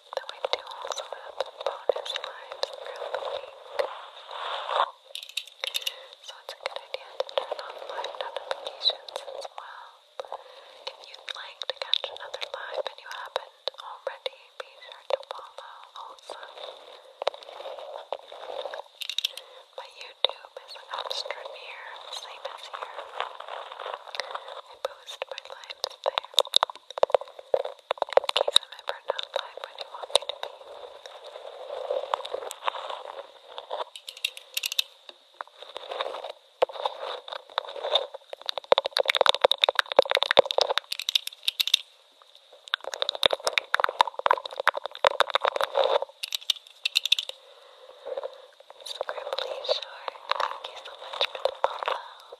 Though I do also have bonus lines throughout the week. So it's a good idea to turn on live notifications as well. If you'd like to catch another live and you haven't already, be sure to follow also. My YouTube is an extra near, same as here. I post my lives there in case I'm ever not live when you want me to be. Scribbly Short, thank you so much for the follow.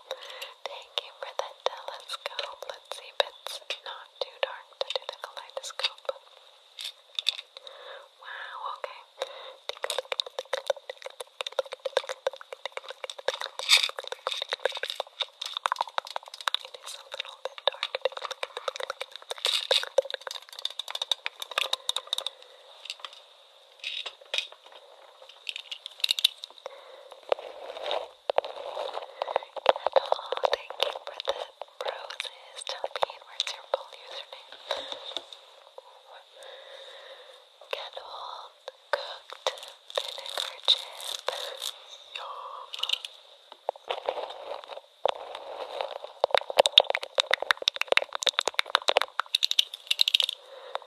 Thank you for the telescope. Let's see if it's not too dark to do the kaleidoscope. Wow, okay. It is a little bit dark. a look, take a Natal, thank you for the roses. Tell me, where's your full username? Kettle, cooked vinegar chip. Yum.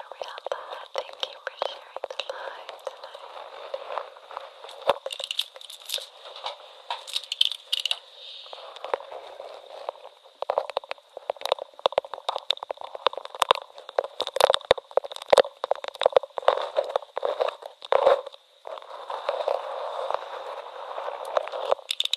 Ariella, thank you for sharing the live tonight. Whitney,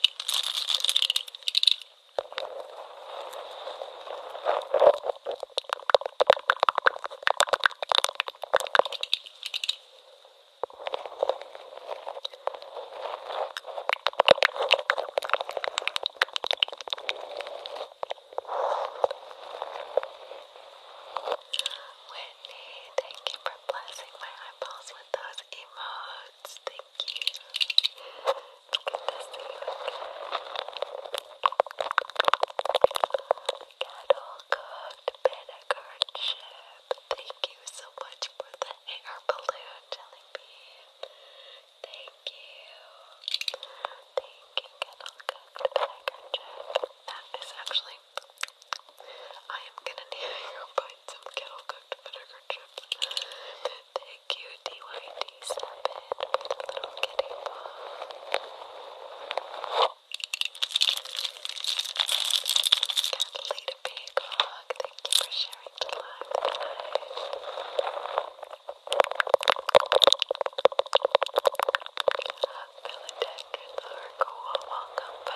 thank you for blessing my eyeballs with those emotes thank you. Look at this Cattle Thank you so much for the air balloon, Jelly Bean. Thank you. Thank you, Kettle Cooked That is actually. I am gonna need *laughs* to some Kettle Cooked chopped vinegar chips. Thank you, DYD7, for the little kitty ball. Catalina Peacock, thank you for sharing the live tonight. Philadelphia, Largo, welcome back.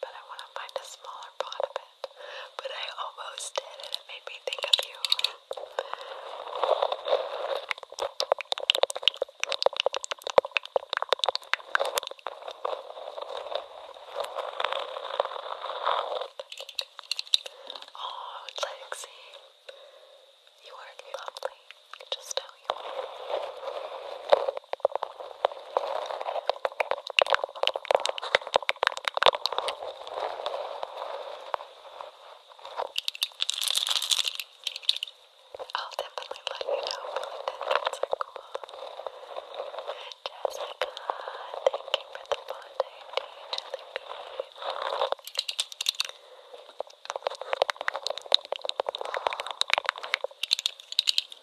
but I want to find a smaller pot of it. But I almost did, and it made me think of you. Oh, Lexi, you are lovely. Just tell you. I'll definitely let you know when the heads are cool. Jessica, thank you for the bond day to each other, guys.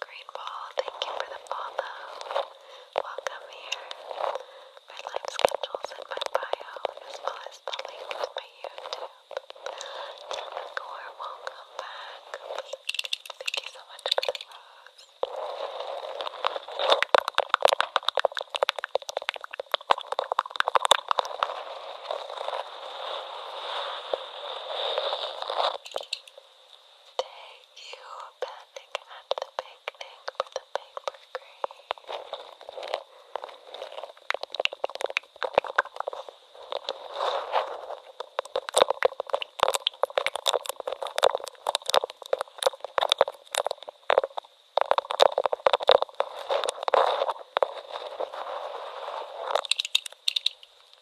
Green Ball, thank you for the follow. Welcome here. My live schedules in my bio, as well as the link to my YouTube. Tanakor, welcome back. Thank you so much for the rose. Thank you Thank you, Panic at the Picnic, for the paper crane.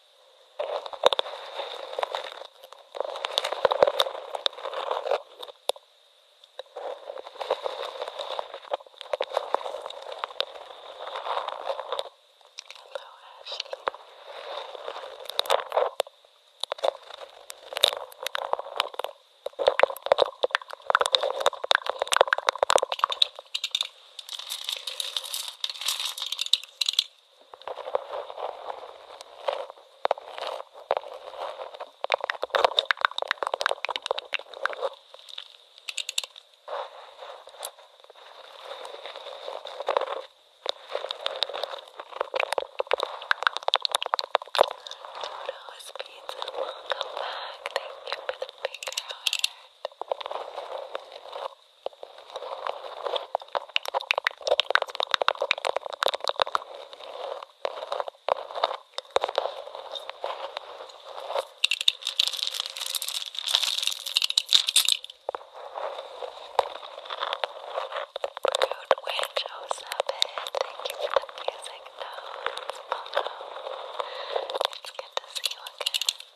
Hello, Ashley. Toto's Pizza, welcome back. Thank you for the big heart. Witch, oh, Osabit, thank you for the music notes. Hello. Oh, it's good to see you again.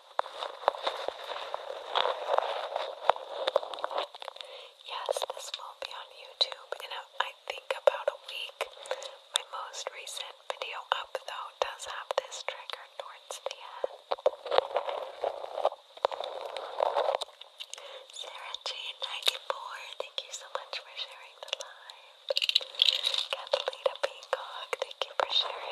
Yes, this will be on YouTube in, a, I think, about a week. My most recent video up, though, does have this trigger towards the end. Sarah Jane94, thank you so much for sharing the live. Catalina Peacock, thank you for sharing.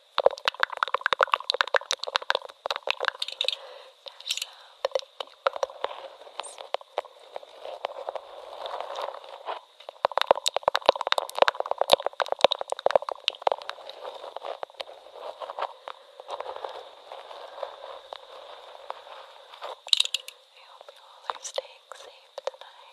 I hope you all are staying safe tonight.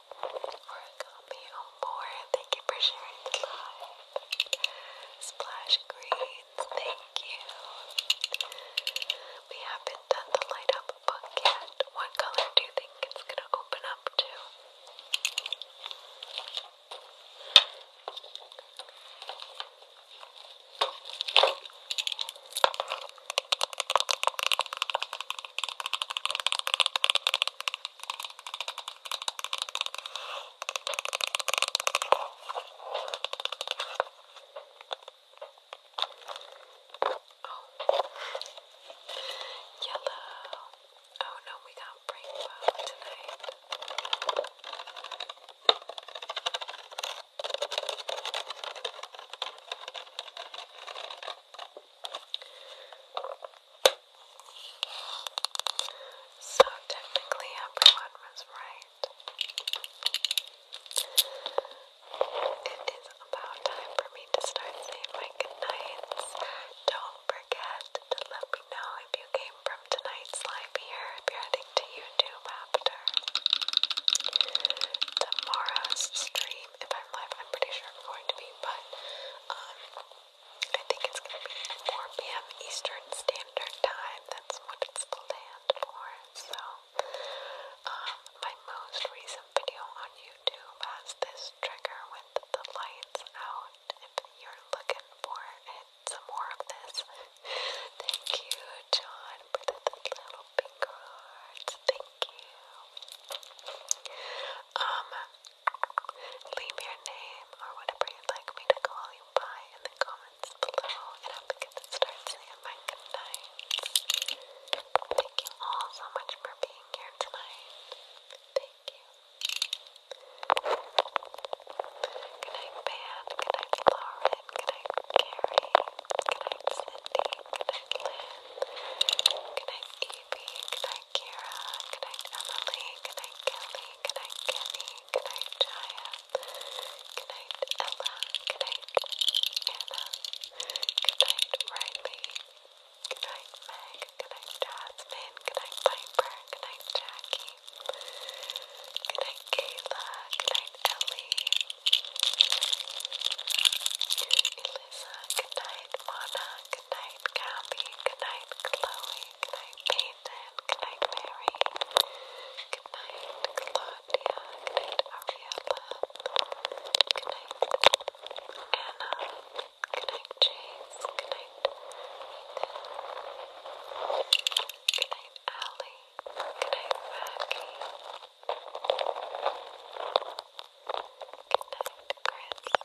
Origami on board. Thank you for sharing the live. Splash Greens, thank you. We haven't done the light up book yet. What color do you think it's gonna open up to? Oh. Yellow. Oh no, we got rainbow tonight. So technically, everyone was right. It is about time for me to start saying my goodnights. Don't forget to let me know if you came from tonight's live here, if you're heading to YouTube after. Tomorrow's stream, if I'm live, I'm pretty sure I'm going to be, but um, I think it's going to be 4 p.m. Eastern Standard Time. That's what it's planned for. So, um, my most recent video on YouTube has this trigger with the lights out. If you're looking for some more of this. Thank you, John, for the little pink hearts. Thank you. Um, Leave your name or whatever you'd like me to call you by in the comments below, and I'm going to goodnight. Thank you all so much for being here tonight. Thank you. Good night, Van. Lauren. Good Carrie. Good Cindy. Good Lynn. Good Evie. Good night, Kira. Good night, Emily. Good night, Kelly. Good night, Kenny. Good night, Jaya. Good night, Ella. Good night, Anna. Good night, Riley. Good night, Meg. Good night, Jasmine. Good night, Piper. Good night, Jackie. Good night, Kayla. Good night, Ellie. Elisa. Good night, Mona. Good night, Gabby. Good night, Chloe. Good night, Nathan. Good night, Mary. Good night, Claudia. Good night, Ariella. Good night, Anna. Good night, Chase. Good night, Ethan. Good night, Allie. Good night, Maggie. Good night, Chris.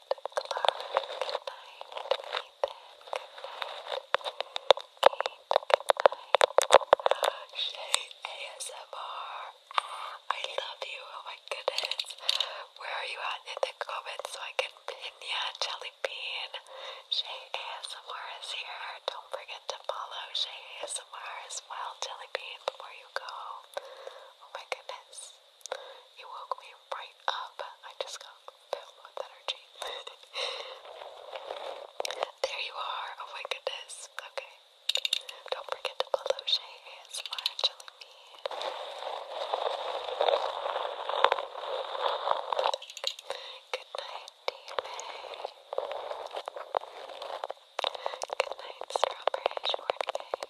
ASMR. I love you. Oh my goodness. Where are you at in the comments so I can pin ya, Jelly Bean? Shay ASMR is here. Don't forget to follow Shay ASMR as well, Jelly before you go. Oh my goodness. You woke me right up. I just got filled with energy. *laughs* there you are. Oh my goodness. Okay. Don't forget to Beloche ASMR Jelly Me. Good night, d Good night, Strawberry Shortcake.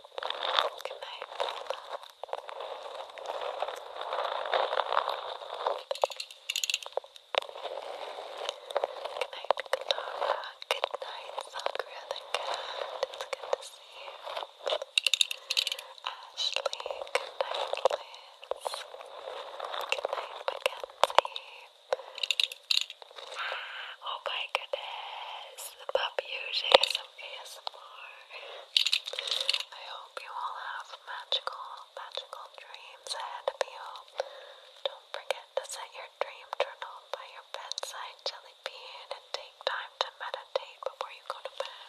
Good night, Zelda. Good night, Sakura It's good to see you. Ashley, good night, Liz. Mackenzie. oh my goodness, the puppy some ASMR. I hope you all have magical, magical dreams ahead of you. Don't forget to set your dream journal by your bedside jelly bean and take time to meditate before you go to bed.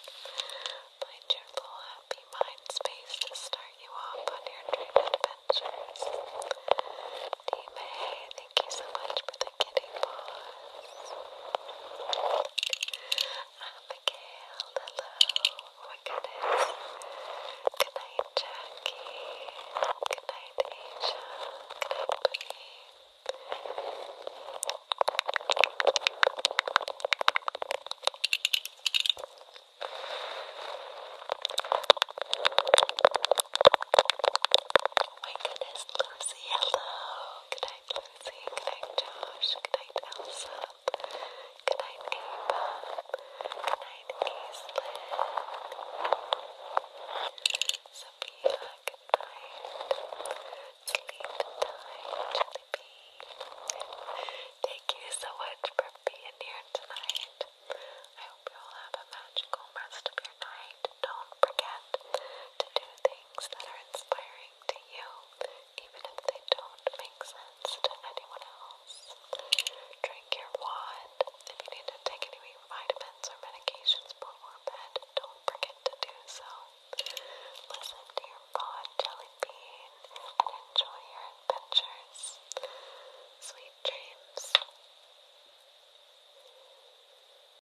My cheerful, happy mind space to start you off on your dream adventures. Dime, thank you so much for the kitty paws. Abigail, hello. Oh my goodness. Good night, Jackie. Good night, Asia. Good night, Boogie. Oh my Lucy, hello. Good night, Lucy. Good night, Josh. Good night, Elsa. Good night, Ava. Good night, Aislinn. Sleep tonight, Jellybean. Thank you so much for being here tonight. I hope you all have a magical rest of your night. Don't forget to do things that are inspiring to you, even if they don't make sense to anyone else. Drink your wand. If you need to take any vitamins or medications before bed, don't forget to do so. Listen to your pod, Jelly and enjoy your adventures. Sweet dreams.